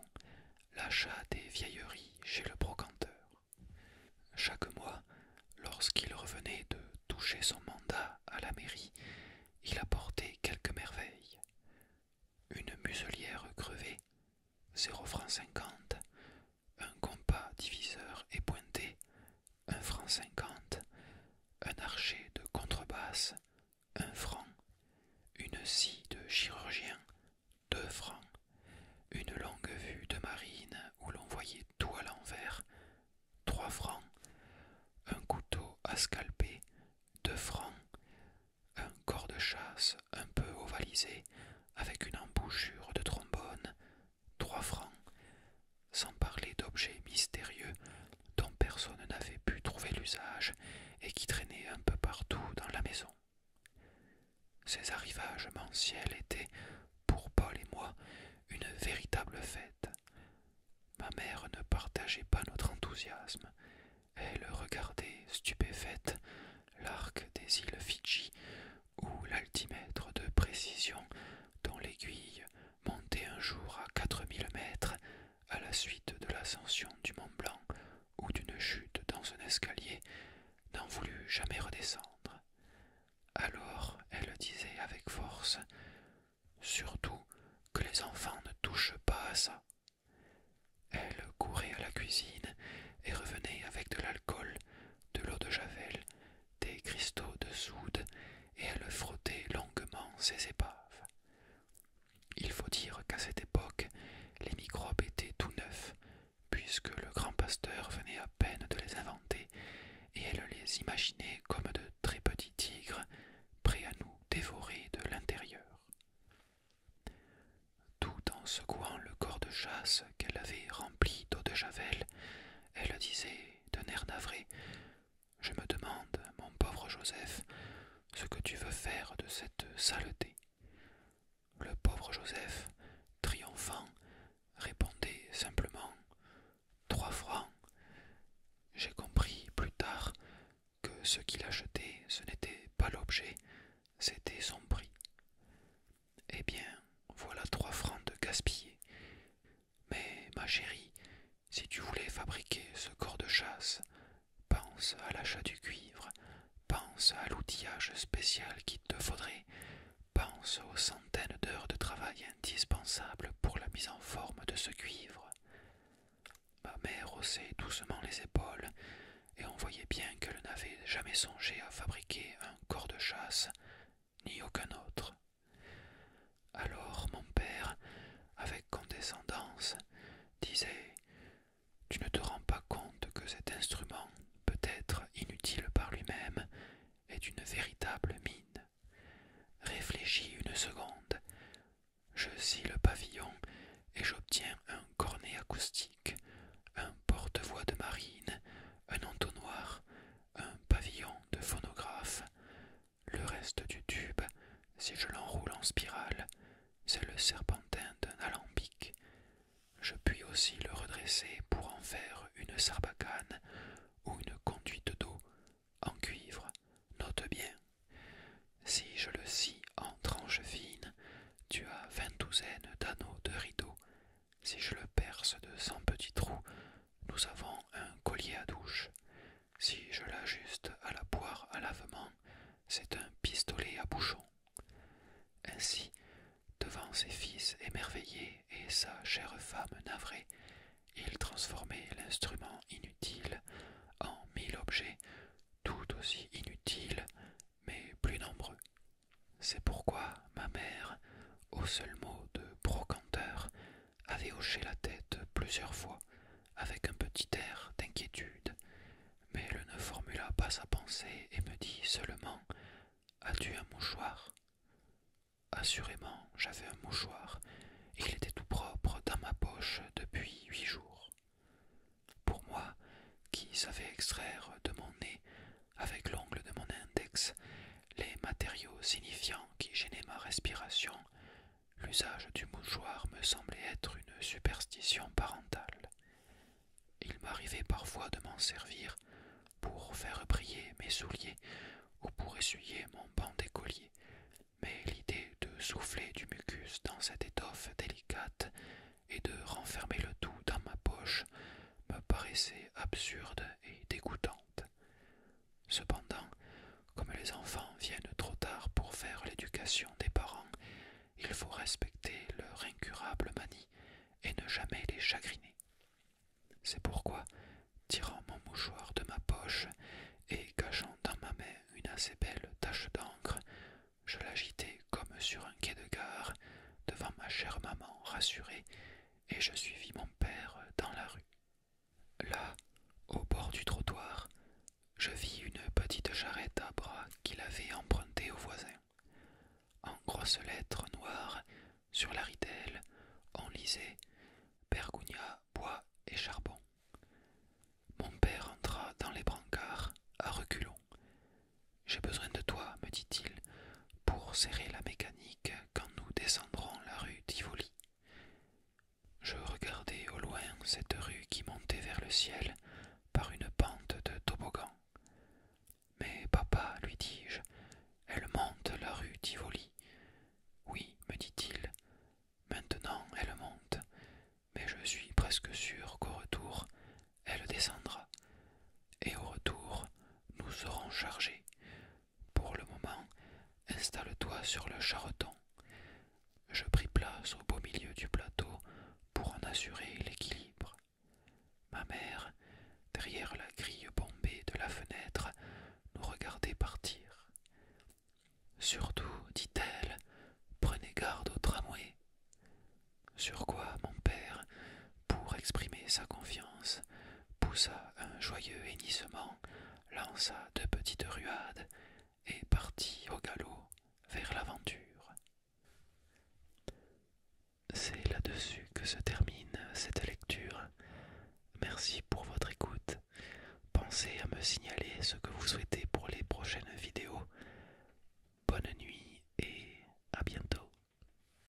S1: l'achat des vieilleries chez le brocanteur. Chaque mois, lorsqu'il revenait de toucher son mandat à la mairie, il apportait quelques merveilles. Une muselière crevée, zéro franc cinquante un compas diviseur et pointé, un franc cinquante, un archer de contrebasse, un franc, une scie de chirurgien, deux francs, une longue vue de marine où l'on voyait tout à l'envers, trois francs, un couteau à scalper, deux francs, un corps de chasse un peu ovalisé avec une embouchure de trombone, trois francs, sans parler d'objets mystérieux dont personne n'avait pu trouver l'usage et qui traînaient un peu partout dans la maison. Ces arrivages mensuels étaient, pour Paul et moi, une véritable fête. Ma mère ne partageait pas notre enthousiasme. Elle regardait, stupéfaite, l'arc des îles Fidji où l'altimètre de précision dont l'aiguille montait un jour à 4000 mètres à la suite de l'ascension du Mont Blanc ou d'une chute dans un escalier n'en voulut jamais redescendre. Alors elle disait avec force Surtout que les enfants ne touchent pas à ça. Elle courait à la cuisine et revenait avec de l'alcool, de l'eau de javel des cristaux de soude et elle frottait longuement ses épaves. Il faut dire qu'à cette époque, les microbes étaient tout neufs, puisque le grand pasteur venait à peine de les inventer, et elle les imaginait comme de très petits tigres prêts à nous dévorer de l'intérieur. Tout en secouant le corps de chasse qu'elle avait rempli d'eau de javel, elle disait, d'un air navré Je me demande, mon pauvre Joseph, ce que tu veux faire de cette saleté. Le pauvre Joseph, triomphant, répondait simplement Trois francs. J'ai compris plus tard que ce qu'il achetait, ce n'était pas l'objet, c'était son prix. Eh bien, voilà trois francs de gaspillés. Mais, ma chérie, si tu voulais fabriquer ce corps de chasse, pense à l'achat du cuivre, pense à l'outillage spécial qu'il te faudrait, pense aux centaines d'heures de travail indispensables pour la mise en forme de ce cuivre. Ma mère haussait doucement les épaules, et on voyait bien qu'elle n'avait jamais songé à fabriquer un corps de chasse, ni aucun autre. Alors mon père, avec condescendance, disait Tu ne te rends pas compte que cet instrument, peut-être inutile par lui-même, est une véritable mine. Réfléchis une seconde. Je scie le pavillon et j'obtiens un cornet acoustique, un porte-voix de marine, un entonnoir, un pavillon de phonographe. Le reste du tube, si je l'enroule en spirale, c'est le serpentin d'un alambic. Je puis aussi le redresser pour en faire une sarbacane ou une conduite d'eau en cuivre. Note bien. Si je le scie en tranches fines, tu as vingt douzaines d'anneaux de rideaux si je le perce de cent petits trous, nous avons un collier à douche. Si je l'ajuste à la poire à lavement, c'est un pistolet à bouchon. Ainsi, devant ses fils émerveillés et sa chère femme navrée, il transformait l'instrument inutile en mille objets tout aussi inutiles, mais plus nombreux. C'est pourquoi ma mère, au seul mot de brocanteur, avait hoché la tête plusieurs fois, avec un petit air d'inquiétude, mais elle ne formula pas sa pensée et me dit seulement As-tu un mouchoir Assurément, j'avais un mouchoir. Il était tout propre dans ma poche depuis huit jours. Pour moi, qui savais extraire de mon nez avec l'ongle de mon index, les matériaux signifiants qui gênaient ma respiration, l'usage du mouchoir me semblait être une superstition parentale. Il m'arrivait parfois de m'en servir pour faire briller mes souliers ou pour essuyer mon banc d'écolier, mais l'idée de souffler du mucus dans cette étoffe délicate et de renfermer le tout dans ma poche me paraissait absurde et dégoûtante. Cependant, comme les enfants viennent trop tard pour faire l'éducation des parents, il faut respecter leur incurable manie et ne jamais les chagriner. C'est pourquoi, tirant mon mouchoir de ma poche et cachant dans ma main une assez belle tache d'encre, je l'agitais comme sur un quai de gare devant ma chère maman rassurée et je suivis mon père dans la rue. Là, au bord du trottoir, je vis une petite charrette à bras qu'il avait empruntée au voisin. En grosses lettres noires, sur la ritelle, on lisait pergunia bois et charbon. Mon père entra dans les brancards à reculons. J'ai besoin de toi, me dit-il pour serrer la mécanique quand nous descendrons la rue Tivoli. Je regardai au loin cette rue qui montait vers le ciel par une pente de toboggan. Mais papa, lui dis-je, elle monte la rue Tivoli. Oui, me dit-il, maintenant elle monte, mais je suis presque sûr qu'au retour, elle descendra et au retour nous serons chargés. Pour le moment, installe-toi sur le charreton. Je pris place au beau milieu du plateau pour en assurer l'équilibre. Ma mère, derrière la grille bombée de la fenêtre, nous regardait partir. Surtout, dit-elle, prenez garde au tramway. Sur quoi mon père, pour exprimer sa confiance, poussa un joyeux hennissement, lança deux petites ruades, et partit au galop vers l'aventure. C'est là-dessus que se termine cette lecture. Merci pour votre écoute. Pensez à me signaler ce que vous souhaitez pour les prochaines vidéos. Bonne nuit et à bientôt.